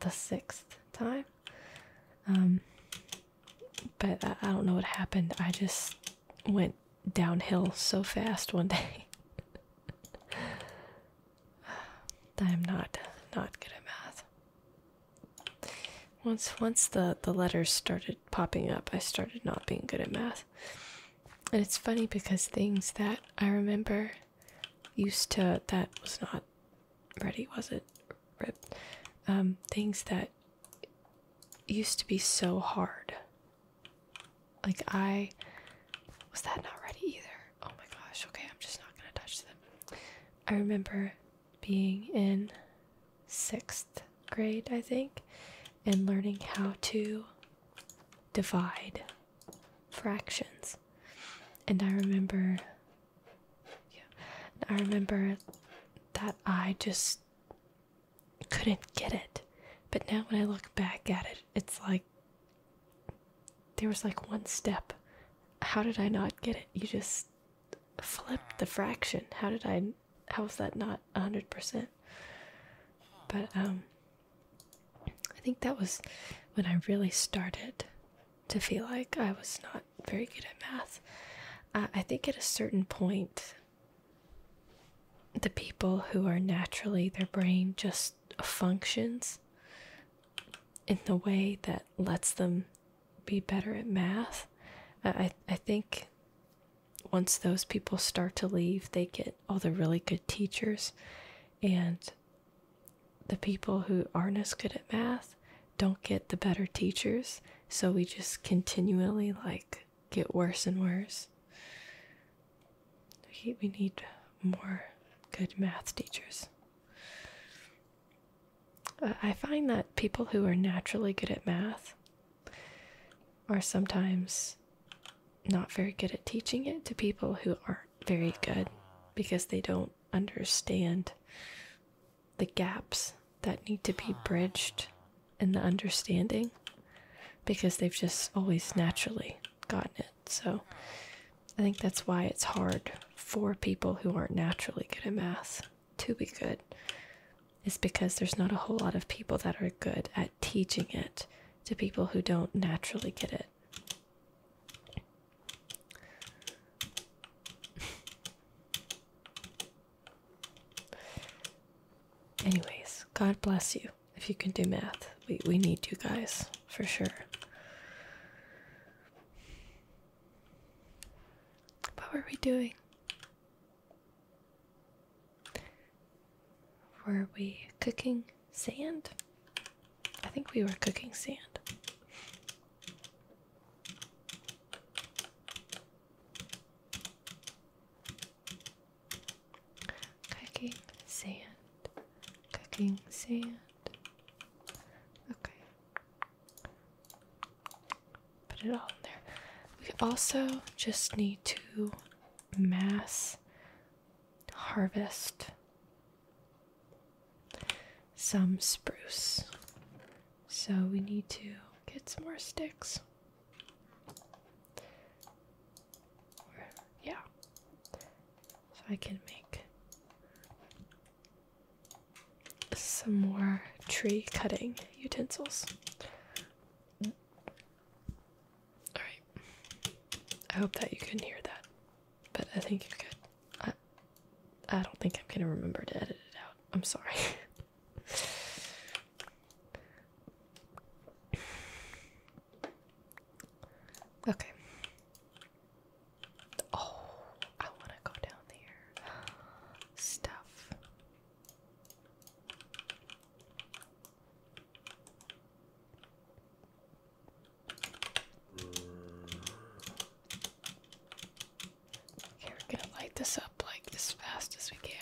the sixth time. Um, but I don't know what happened. I just went downhill so fast one day. I'm not not good at math. Once once the the letters started popping up, I started not being good at math. And it's funny because things that I remember used to that was not ready, was it? Rip. Um, things that used to be so hard like, I was that not ready either. Oh my gosh, okay, I'm just not gonna touch them. I remember being in sixth grade, I think, and learning how to divide fractions. And I remember, yeah, I remember that I just couldn't get it. But now when I look back at it, it's like there was like one step. How did I not get it? You just flipped the fraction. How did I How was that not 100%? But um I think that was when I really started to feel like I was not very good at math. Uh, I think at a certain point the people who are naturally their brain just functions in the way that lets them be better at math. I I think once those people start to leave, they get all the really good teachers, and the people who aren't as good at math don't get the better teachers. So we just continually like get worse and worse. We need more good math teachers. I find that people who are naturally good at math are sometimes not very good at teaching it to people who aren't very good because they don't understand the gaps that need to be bridged and the understanding because they've just always naturally gotten it. So I think that's why it's hard for people who aren't naturally good at math to be good, is because there's not a whole lot of people that are good at teaching it to people who don't naturally get it. Anyways, God bless you if you can do math. We we need you guys for sure. What were we doing? Were we cooking sand? I think we were cooking sand. Cooking sand. Cooking sand. Okay. Put it all in there. We also just need to mass harvest some spruce. So we need to get some more sticks yeah. So I can make some more tree cutting utensils. All right. I hope that you can hear that, but I think you could. I, I don't think I'm gonna remember to edit it out. I'm sorry. Okay. Oh, I want to go down there. Stuff. Okay, we're gonna light this up like as fast as we can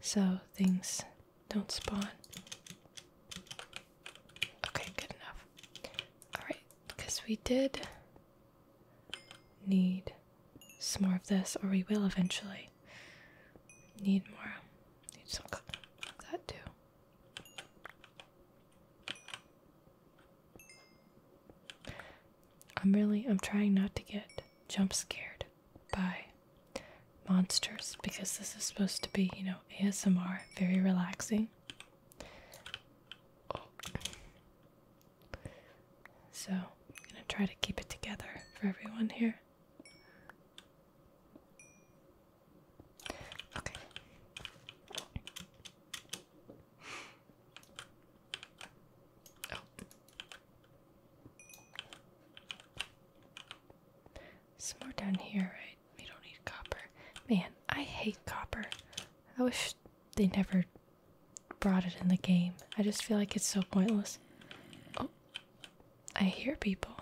so things don't spawn. Okay, good enough. Alright, because we did need some more of this, or we will eventually need more. Need some like that too. I'm really I'm trying not to get jump scared by monsters because this is supposed to be, you know, ASMR, very relaxing. So, I'm going to try to keep it together for everyone here. Okay. Oh. Some more down here, right? We don't need copper. Man, I hate copper. I wish they never brought it in the game. I just feel like it's so pointless. Oh, I hear people.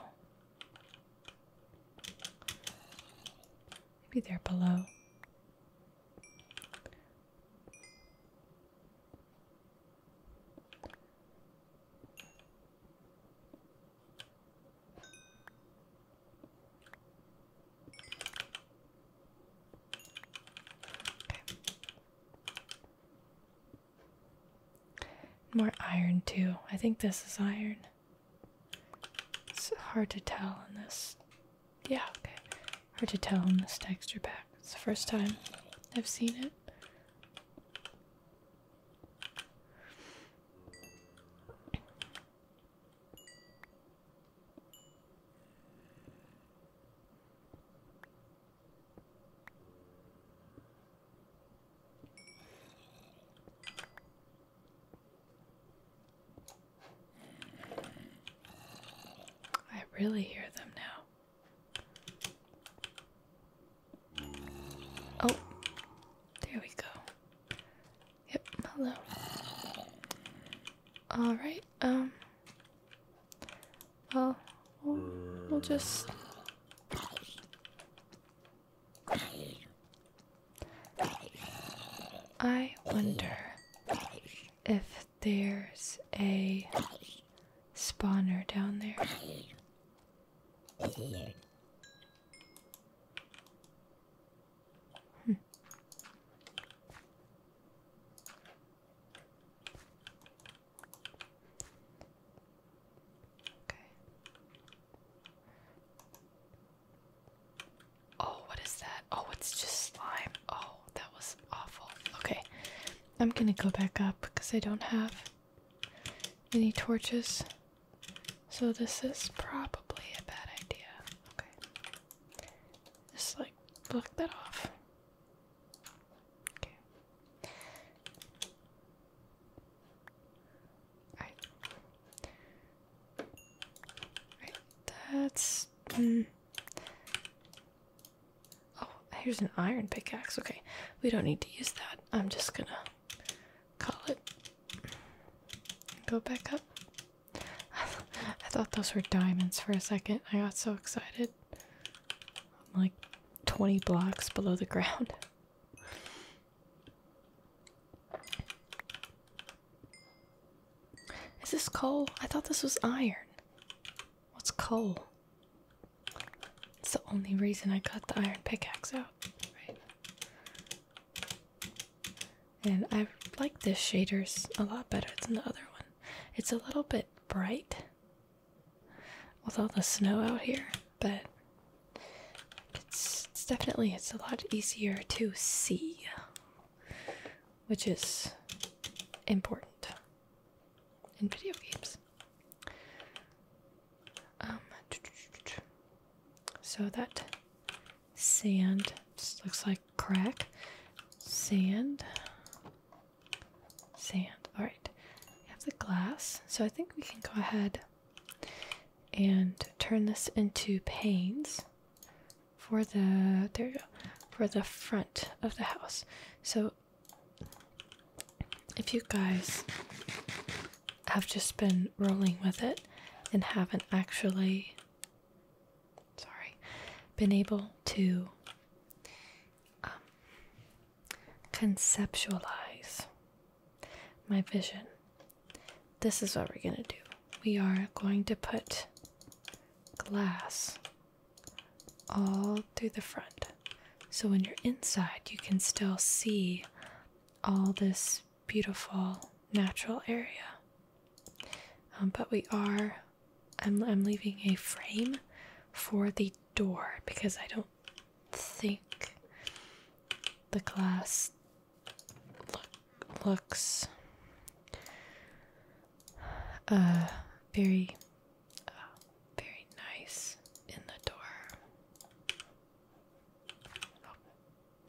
Maybe they're below. More iron, too. I think this is iron. It's hard to tell in this. Yeah, okay. Hard to tell in this texture pack. It's the first time I've seen it. I really hear them now. Oh, there we go. Yep, hello. Alright, um. Well, we'll just. I wonder if there's a spawner down there. Hmm. Okay. Oh, what is that? Oh, it's just slime. Oh, that was awful. Okay. I'm gonna go back up because I don't have any torches. So this is probably a bad idea. Okay. Just like block that off. Okay. Alright. Alright, that's mm. Oh, here's an iron pickaxe. Okay, we don't need to use that. I'm just gonna call it. Go back up. I thought those were diamonds for a second. I got so excited. I'm like 20 blocks below the ground. Is this coal? I thought this was iron. What's coal? It's the only reason I got the iron pickaxe out, right? And I like this shaders a lot better than the other one. It's a little bit bright with all the snow out here, but it's, it's definitely it's a lot easier to see, which is important in video games. Um, so that sand looks like crack. Sand. Sand. Alright. We have the glass. So I think we can go ahead and turn this into panes for the there for the front of the house. So if you guys have just been rolling with it and haven't actually, sorry, been able to um, conceptualize my vision, this is what we're going to do. We are going to put glass all through the front. So when you're inside, you can still see all this beautiful natural area. Um, but we are, I'm, leaving a frame for the door because I don't think the glass looks uh, very Oh, very nice in the door. Oh,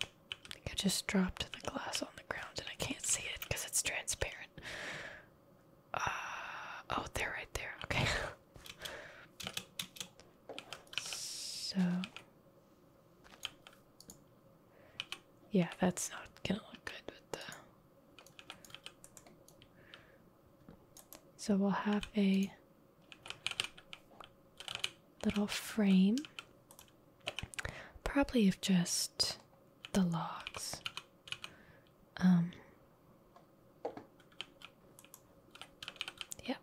I think I just dropped the glass on the ground and I can't see it because it's transparent. Uh, oh, they're right there. Okay. so, yeah, that's not gonna look good with the so we'll have a little frame, probably of just the logs. Um, yeah.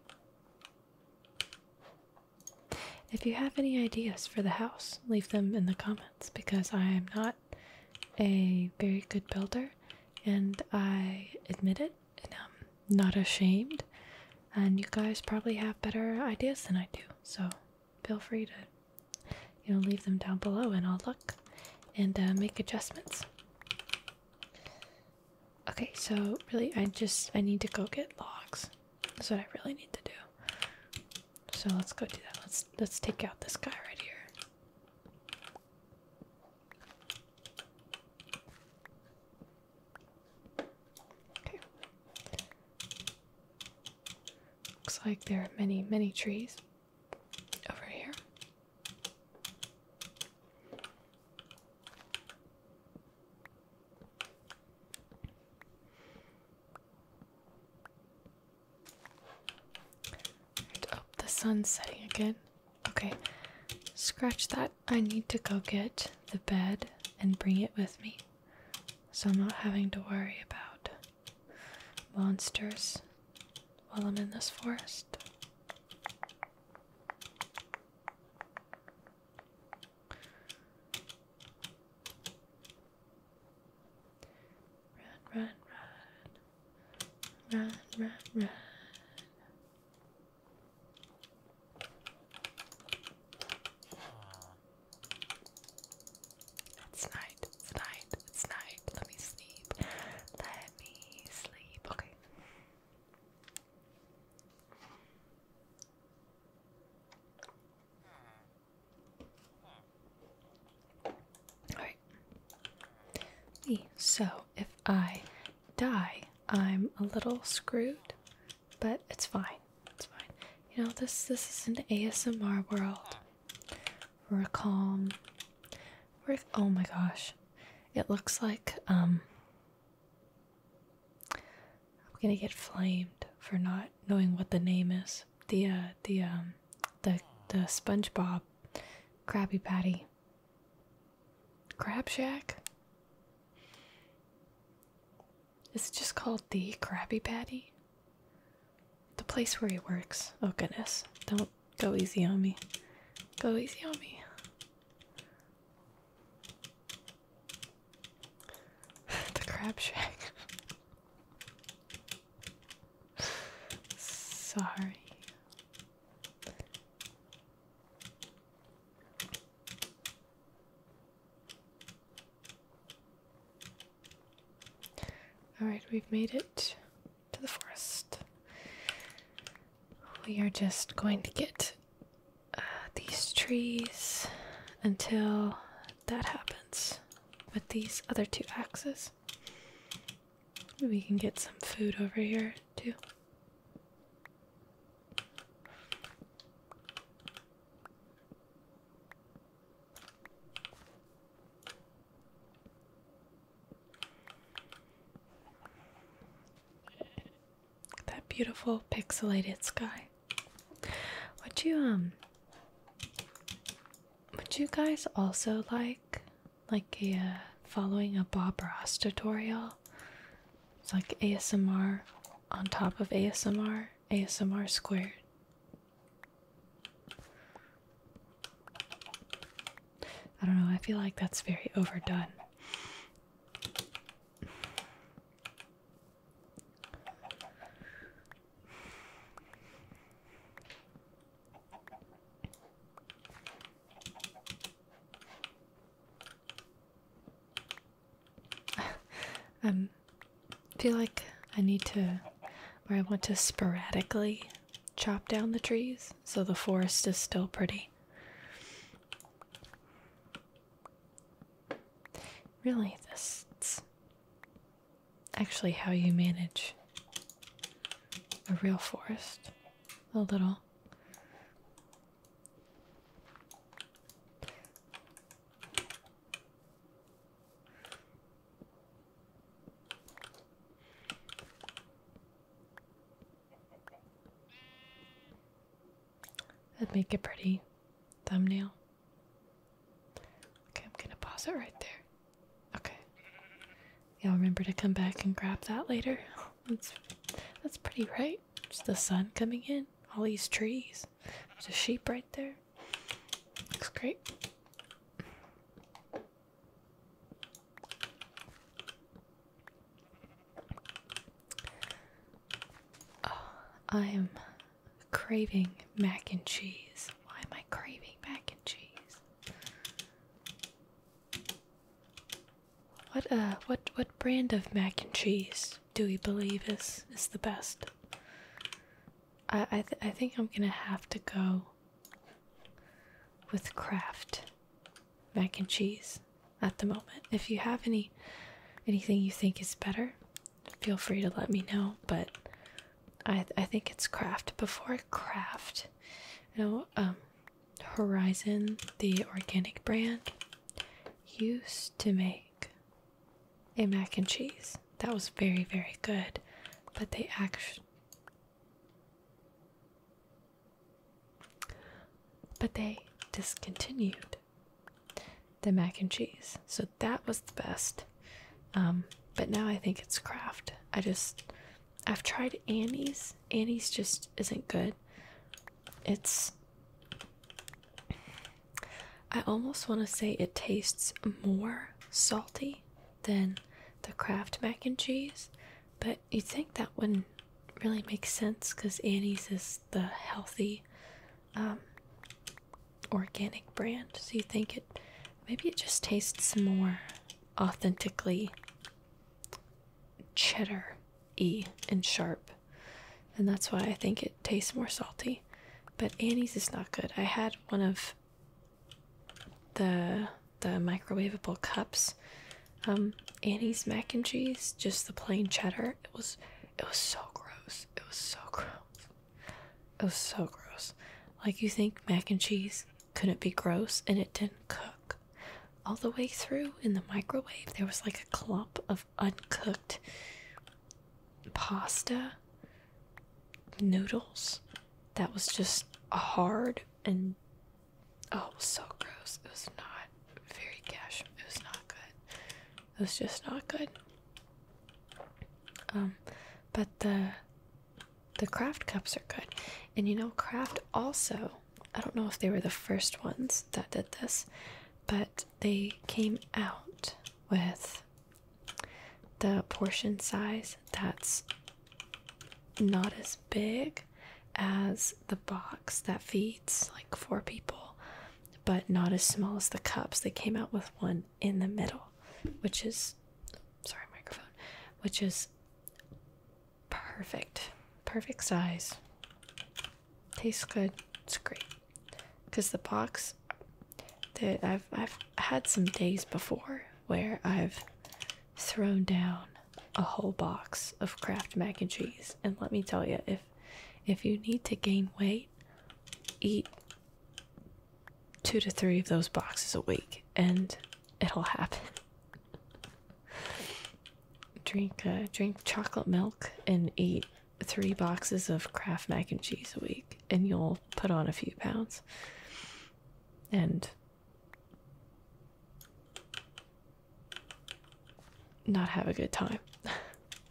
If you have any ideas for the house, leave them in the comments because I am not a very good builder and I admit it, and I'm not ashamed. And you guys probably have better ideas than I do, so feel free to, you know, leave them down below, and I'll look and uh, make adjustments. Okay, so really, I just I need to go get logs. That's what I really need to do. So let's go do that. Let's let's take out this guy right here. Okay. Looks like there are many, many trees over here oh, the sun's setting again. Okay, scratch that. I need to go get the bed and bring it with me. So I'm not having to worry about monsters while I'm in this forest. Run, run, run. Run, run, run. It's night, it's night, it's night. Let me sleep. Let me sleep. Okay. Hmm. Hmm. Alright. So if I die, I'm a little screwed, but it's fine. It's fine. You know, this this is an ASMR world. We're calm. We're oh my gosh. It looks like um I'm gonna get flamed for not knowing what the name is. The uh, the um the the SpongeBob Krabby Patty. Crab Shack? Is it just called the Krabby Patty? The place where he works. Oh goodness. Don't go easy on me. Go easy on me. the Crab Shack. Sorry. Alright, we've made it to the forest. We are just going to get uh, these trees until that happens with these other two axes. We can get some food over here too. That beautiful pixelated sky. Would you um would you guys also like like a uh, following a Bob Ross tutorial. It's like ASMR on top of ASMR, ASMR squared. I don't know, I feel like that's very overdone. I um, feel like I need to, or I want to sporadically chop down the trees so the forest is still pretty. Really, this actually how you manage a real forest a little That'd make a pretty thumbnail. Okay, I'm gonna pause it right there. Okay. Y'all remember to come back and grab that later. That's that's pretty right. Just the sun coming in. All these trees. There's a sheep right there. Looks great. Oh, I am craving mac and cheese. Why am I craving mac and cheese? What uh what what brand of mac and cheese do we believe is is the best? I I I think I'm gonna have to go with Kraft mac and cheese at the moment. If you have any anything you think is better, feel free to let me know. But I I think it's Craft before Craft. No, um, Horizon, the organic brand, used to make a mac and cheese that was very very good, but they actually. But they discontinued the mac and cheese, so that was the best. Um, but now I think it's Craft. I just I've tried Annie's. Annie's just isn't good. It's. I almost want to say it tastes more salty than the Kraft mac and cheese, but you'd think that wouldn't really make sense because Annie's is the healthy um, organic brand. So you think it. Maybe it just tastes more authentically cheddar y and sharp. And that's why I think it tastes more salty. But Annie's is not good. I had one of the the microwavable cups. Um, Annie's mac and cheese, just the plain cheddar. It was it was so gross. It was so gross. It was so gross. Like you think mac and cheese couldn't be gross and it didn't cook all the way through in the microwave there was like a clump of uncooked pasta noodles that was just hard and oh it was so gross it was not very cash it was not good it was just not good um but the the craft cups are good. And you know, craft also, I don't know if they were the first ones that did this, but they came out with the portion size that's not as big as the box that feeds like four people, but not as small as the cups. They came out with one in the middle, which is sorry, microphone, which is Perfect. Perfect size. Tastes good. It's great. Cause the box that I've I've had some days before where I've thrown down a whole box of Kraft mac and cheese. And let me tell you, if if you need to gain weight, eat two to three of those boxes a week and it'll happen. drink uh, drink chocolate milk and eat three boxes of Kraft mac and cheese a week and you'll put on a few pounds. And not have a good time.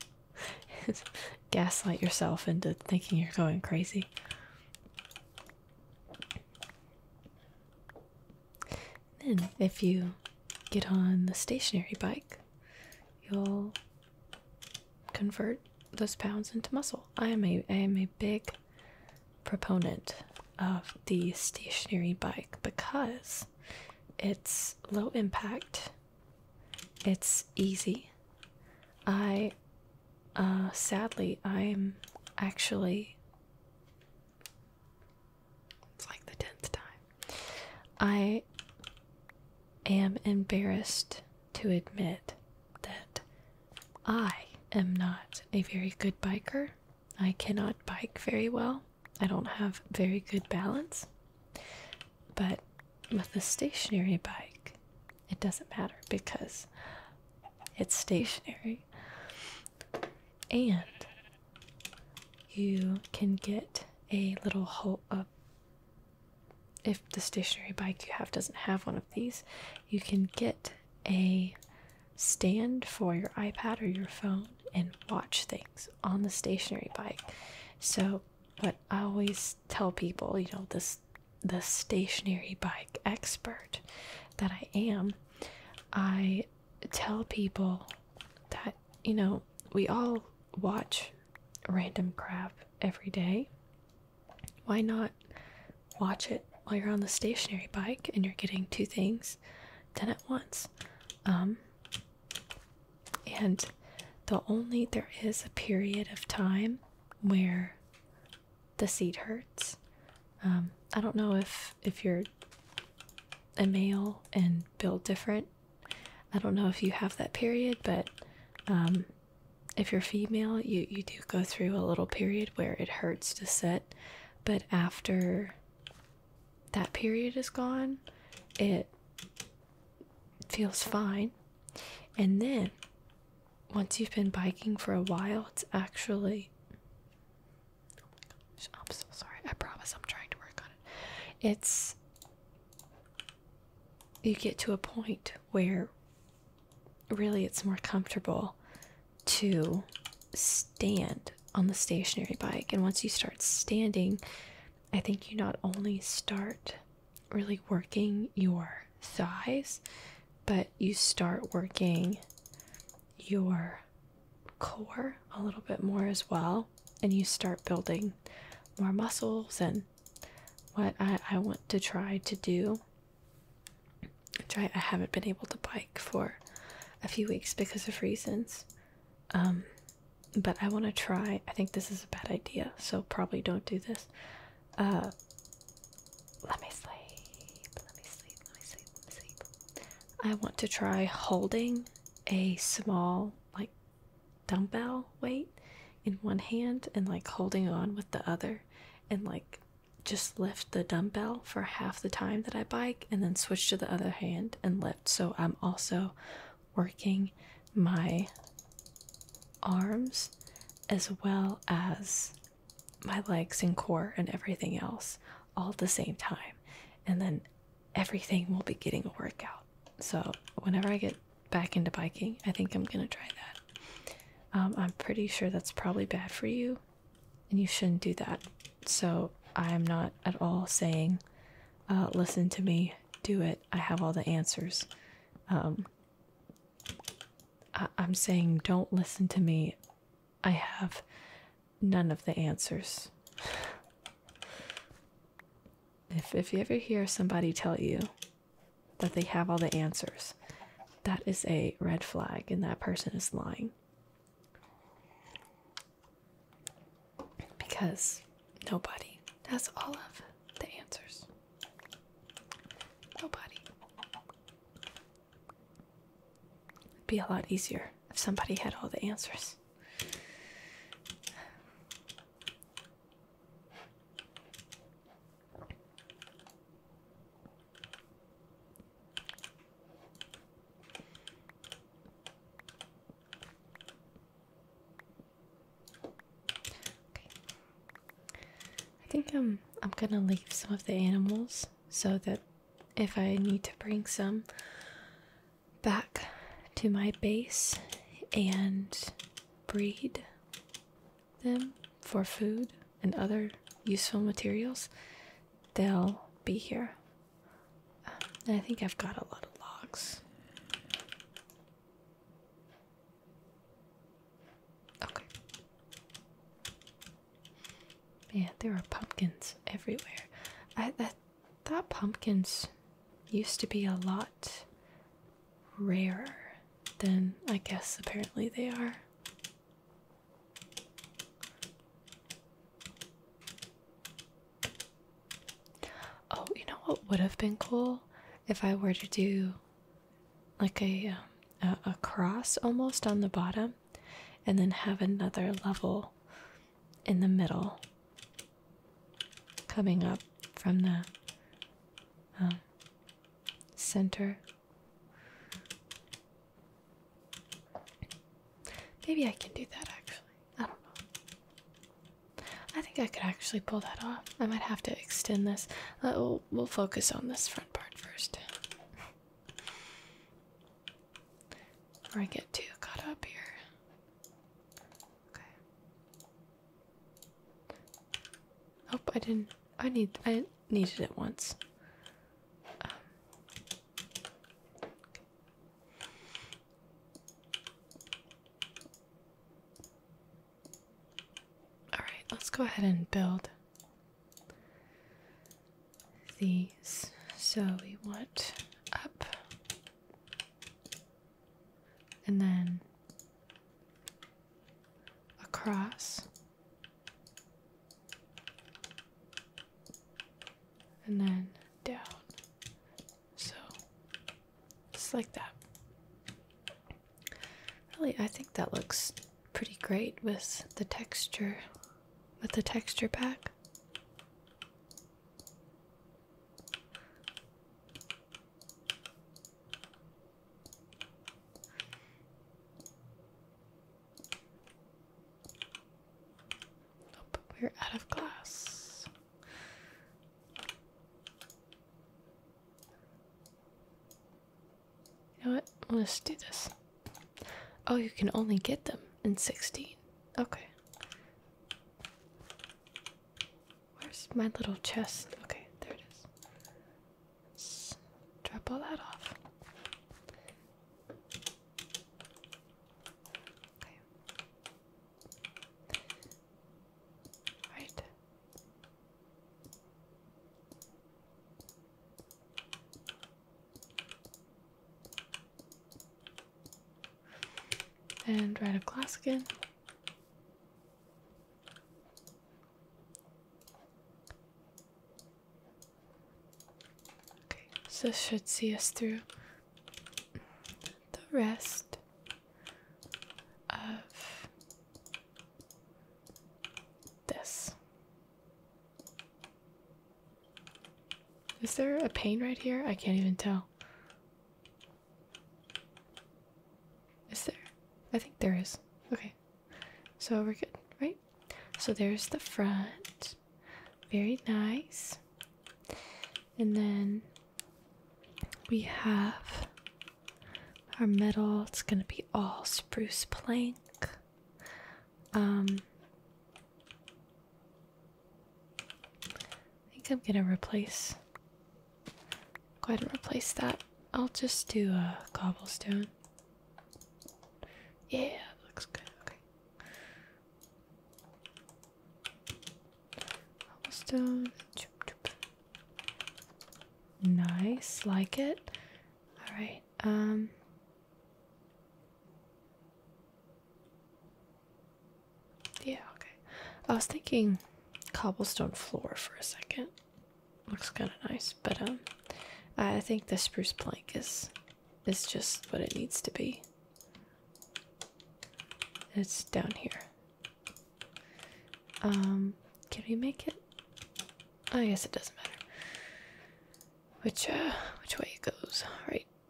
Gaslight yourself into thinking you're going crazy. Then, if you get on the stationary bike, you'll convert those pounds into muscle. I am a I am a big proponent of the stationary bike because it's low impact. It's easy. I uh, sadly, I'm actually. It's like the tenth time. I am embarrassed to admit that I am not a very good biker. I cannot bike very well. I don't have very good balance. But with a stationary bike, it doesn't matter because it's stationary and you can get a little hole up. If the stationary bike you have doesn't have one of these, you can get a stand for your iPad or your phone and watch things on the stationary bike. So, but I always tell people, you know, this the stationary bike expert that I am, I tell people that, you know, we all watch random crap every day. Why not watch it while you're on the stationary bike and you're getting two things done at once? Um, and the only there is a period of time where the seat hurts. Um, I don't know if if you're a male and build different. I don't know if you have that period, but um, if you're female, you you do go through a little period where it hurts to sit, but after that period is gone, it feels fine. And then once you've been biking for a while, it's actually. Oh my gosh, I'm so sorry. I promise I'm trying to work on it. It's. You get to a point where really it's more comfortable to stand on the stationary bike. And once you start standing, I think you not only start really working your thighs but you start working your core a little bit more as well and you start building more muscles and what I, I want to try to do try I haven't been able to bike for a few weeks because of reasons um but I want to try I think this is a bad idea so probably don't do this uh let me sleep. Let me sleep. Let me sleep. Let me sleep. I want to try holding a small, like, dumbbell weight in one hand and, like, holding on with the other and, like, just lift the dumbbell for half the time that I bike and then switch to the other hand and lift. So I'm also working my arms as well as my legs and core and everything else all at the same time. And then everything will be getting a workout. So whenever I get back into biking, I think I'm going to try that. Um, I'm pretty sure that's probably bad for you and you shouldn't do that. So I'm not at all saying, uh, listen to me, do it. I have all the answers. Um, I'm saying don't listen to me. I have none of the answers. If, if you ever hear somebody tell you that they have all the answers, that is a red flag and that person is lying. Because nobody has all of the answers. Nobody. It'd be a lot easier if somebody had all the answers. Okay. I think I'm um, I'm gonna leave some of the animals so that if I need to bring some back to my base and breed them for food and other useful materials, they'll be here. I think I've got a lot of logs. Okay. Man, there are pumpkins everywhere. I, I thought pumpkins used to be a lot rarer than I guess apparently they are. Oh, you know what would have been cool if I were to do like a, um, a cross almost on the bottom and then have another level in the middle coming up from the um, center. Maybe I can do that actually. I don't know. I think I could actually pull that off. I might have to extend this. Uh, we'll focus on this front part first. Or I get too caught up here. Okay. Oh, I didn't. I need. I needed it once. Um, All right. Let's go ahead and build these. So we want up and then across and then down. So just like that. Really, I think that looks pretty great with the texture with the texture pack. Oh, we're out of glass. You know what? Let's do this. Oh, you can only get them in 16. Okay. Where's my little chest? Okay, there it is. drop all that off. Okay. Right. And write a class again. Okay, so this should see us through the rest of this. Is there a pain right here? I can't even tell. Is there? I think there is. Okay. So we're good, right? So there's the front. Very nice. And then we have our metal. It's going to be all spruce plank. Um, I think I'm gonna replace. Go ahead and replace that. I'll just do a cobblestone. Yeah, looks good. Cobblestone. Nice, like it. All right. Um, yeah, okay. I was thinking cobblestone floor for a second. Looks kind of nice, but um, I think the spruce plank is is just what it needs to be. It's down here. Um, can we make it? I oh, guess it doesn't matter. Which, uh, which way it goes.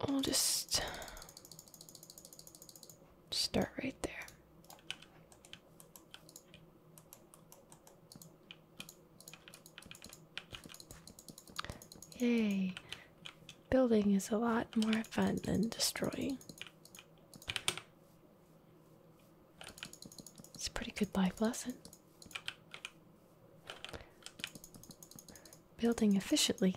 All we'll just start right there. Yay! Building is a lot more fun than destroying. It's a pretty good life lesson. Building efficiently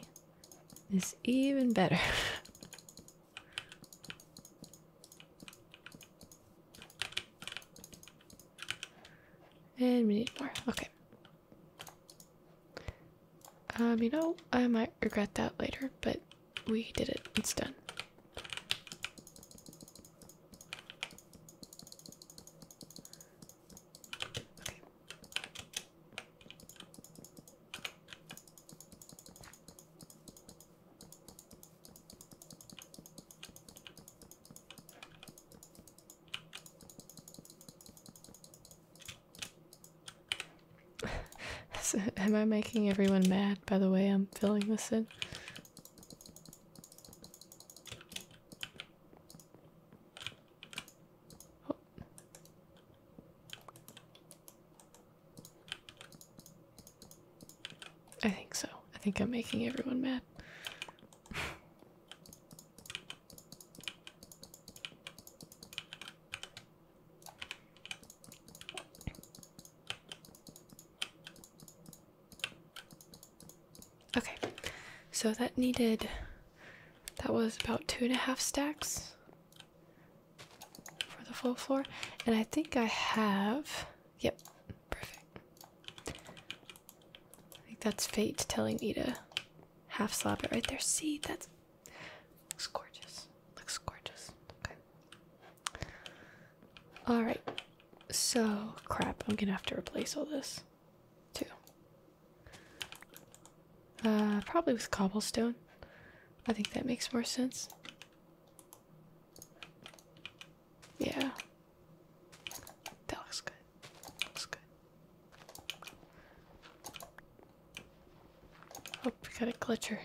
is even better. and we need more. Okay. Um, you know, I might regret that later, but we did it. It's done. Am I making everyone mad by the way I'm filling this in? I think so. I think I'm making everyone mad. Okay, so that needed, that was about two and a half stacks for the full floor. And I think I have, yep, perfect. I think that's fate telling me to half slab it right there. See, that's, looks gorgeous. Looks gorgeous. Okay. All right. So, crap, I'm gonna have to replace all this too. Uh, probably with cobblestone. I think that makes more sense. Yeah. That looks good. looks good. Oh, we got a glitcher.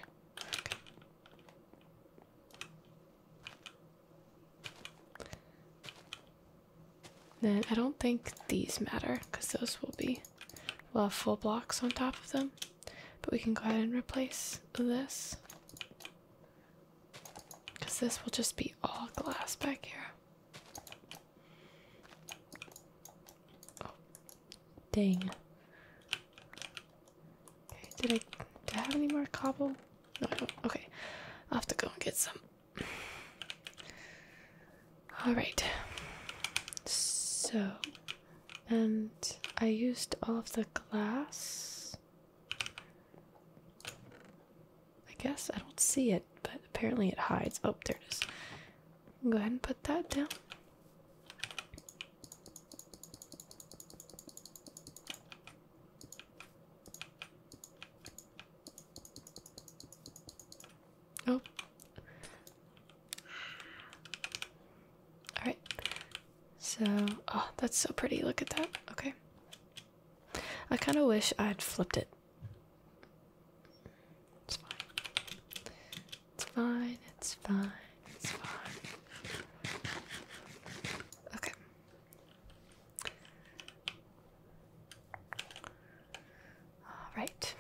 Then I don't think these matter because those will be we'll have full blocks on top of them. But we can go ahead and replace this. Because this will just be all glass back here. Oh, dang. did I, did I have any more cobble? Okay. I'll have to go and get some. Alright. So. And I used all of the glass. I guess I don't see it, but apparently it hides. Oh, there it is. Go ahead and put that down. Oh. Alright. So, oh, that's so pretty. Look at that. Okay. I kind of wish I'd flipped it. It's fine. It's fine. It's fine. It's fine. Okay. All right.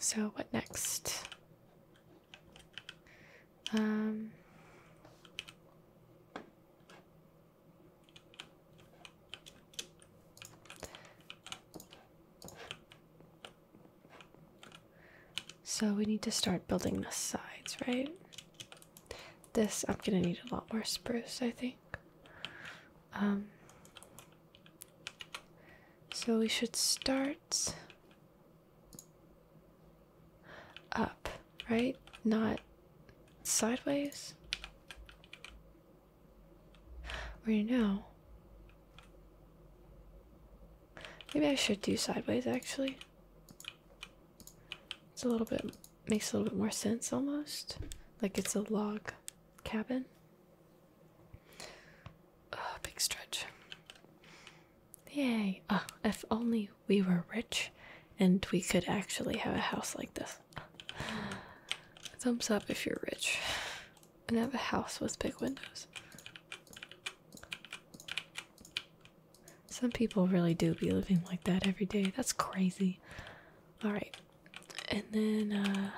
So what next? Um, so we need to start building the sides, right? This I'm gonna need a lot more spruce, I think. Um, so we should start up, right? Not sideways. Or you know. Maybe I should do sideways actually. It's a little bit makes a little bit more sense almost. Like it's a log cabin. A big stretch. Yay. Oh, if only we were rich and we could actually have a house like this. Thumbs up if you're rich and have a house with big windows. Some people really do be living like that every day. That's crazy. Alright. And then, uh.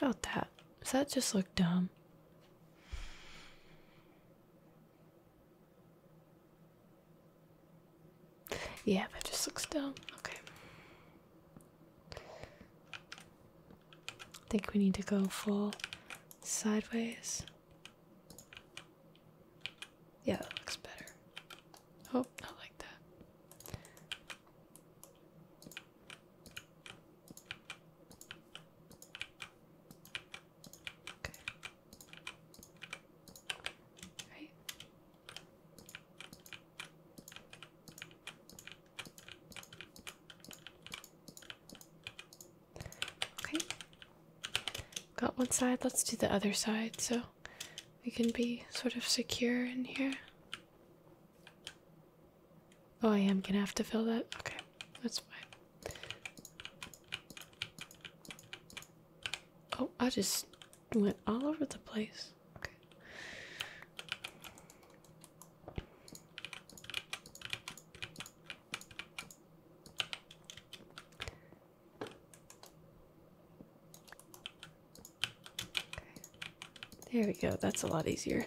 About that. Does that just look dumb? Yeah, that just looks dumb. Okay. I think we need to go full sideways. Yeah, that looks better. Oh, I like that. Okay. Right. Okay. Got one side, let's do the other side so we can be sort of secure in here. Oh, I am gonna have to fill that. Okay, that's fine. Oh, I just went all over the place. Okay. There we go. That's a lot easier.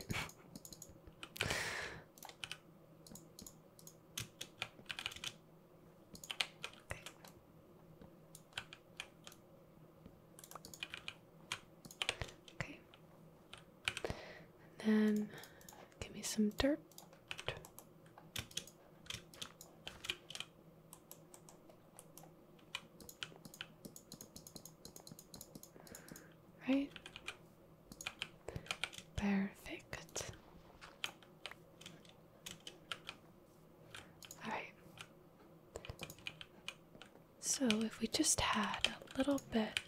okay. then give me some dirt. Right? Perfect. Alright. So, if we just had a little bit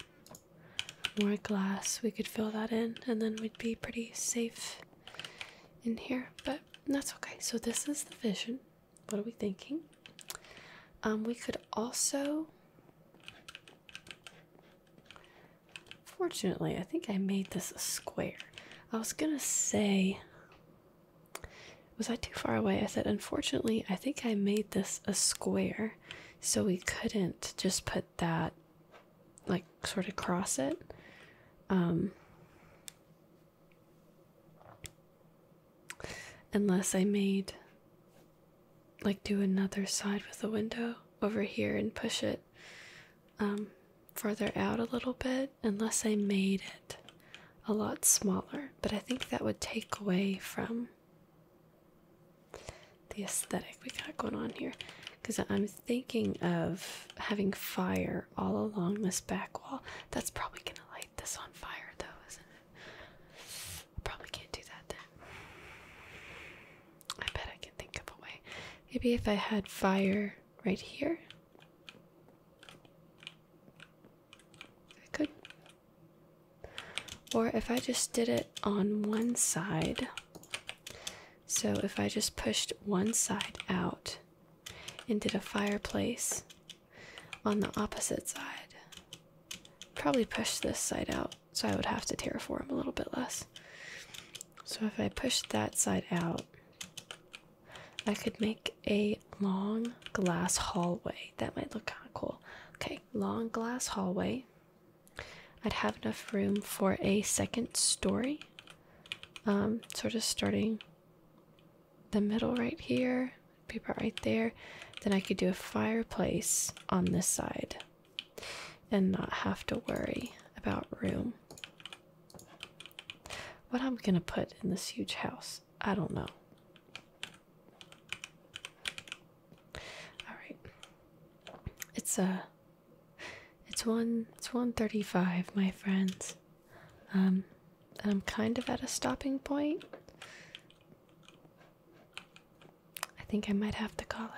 more glass, we could fill that in, and then we'd be pretty safe in here, but that's okay. So this is the vision. What are we thinking? Um, we could also. Fortunately, I think I made this a square. I was gonna say. Was I too far away? I said, unfortunately, I think I made this a square, so we couldn't just put that like sort of cross it. Um, unless I made like do another side with the window over here and push it um, further out a little bit, unless I made it a lot smaller. But I think that would take away from the aesthetic we got going on here because I'm thinking of having fire all along this back wall. That's probably going to light this on fire, though, isn't it? probably can't do that I bet I can think of a way. Maybe if I had fire right here, I could. Or if I just did it on one side so if I just pushed one side out and did a fireplace on the opposite side, probably push this side out so I would have to terraform a little bit less. So if I push that side out, I could make a long glass hallway. That might look kind of cool. Okay, long glass hallway. I'd have enough room for a second story. Um, sort of starting the middle right here, paper right there. Then I could do a fireplace on this side and not have to worry about room. What I'm gonna put in this huge house, I don't know. All right, it's a it's one it's one thirty five, my friends. Um and I'm kind of at a stopping point. I think I might have to call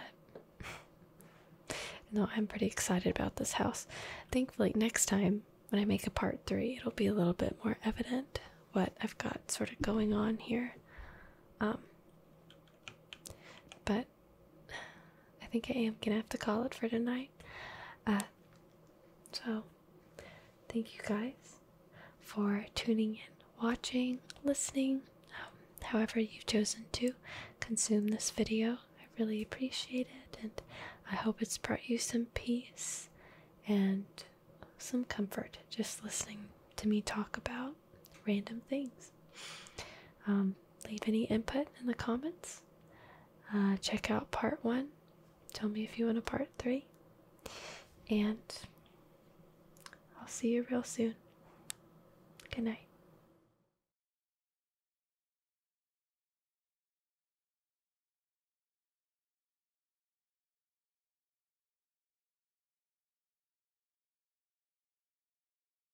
it. no, I'm pretty excited about this house. Think like next time when I make a part three it'll be a little bit more evident what I've got sort of going on here. Um but I think I am gonna have to call it for tonight. Uh, so, thank you guys for tuning in, watching, listening, um, however you've chosen to consume this video. I really appreciate it, and I hope it's brought you some peace and some comfort just listening to me talk about random things. Um, leave any input in the comments. Uh, check out part one. Tell me if you want a part three. And I'll see you real soon. Good night.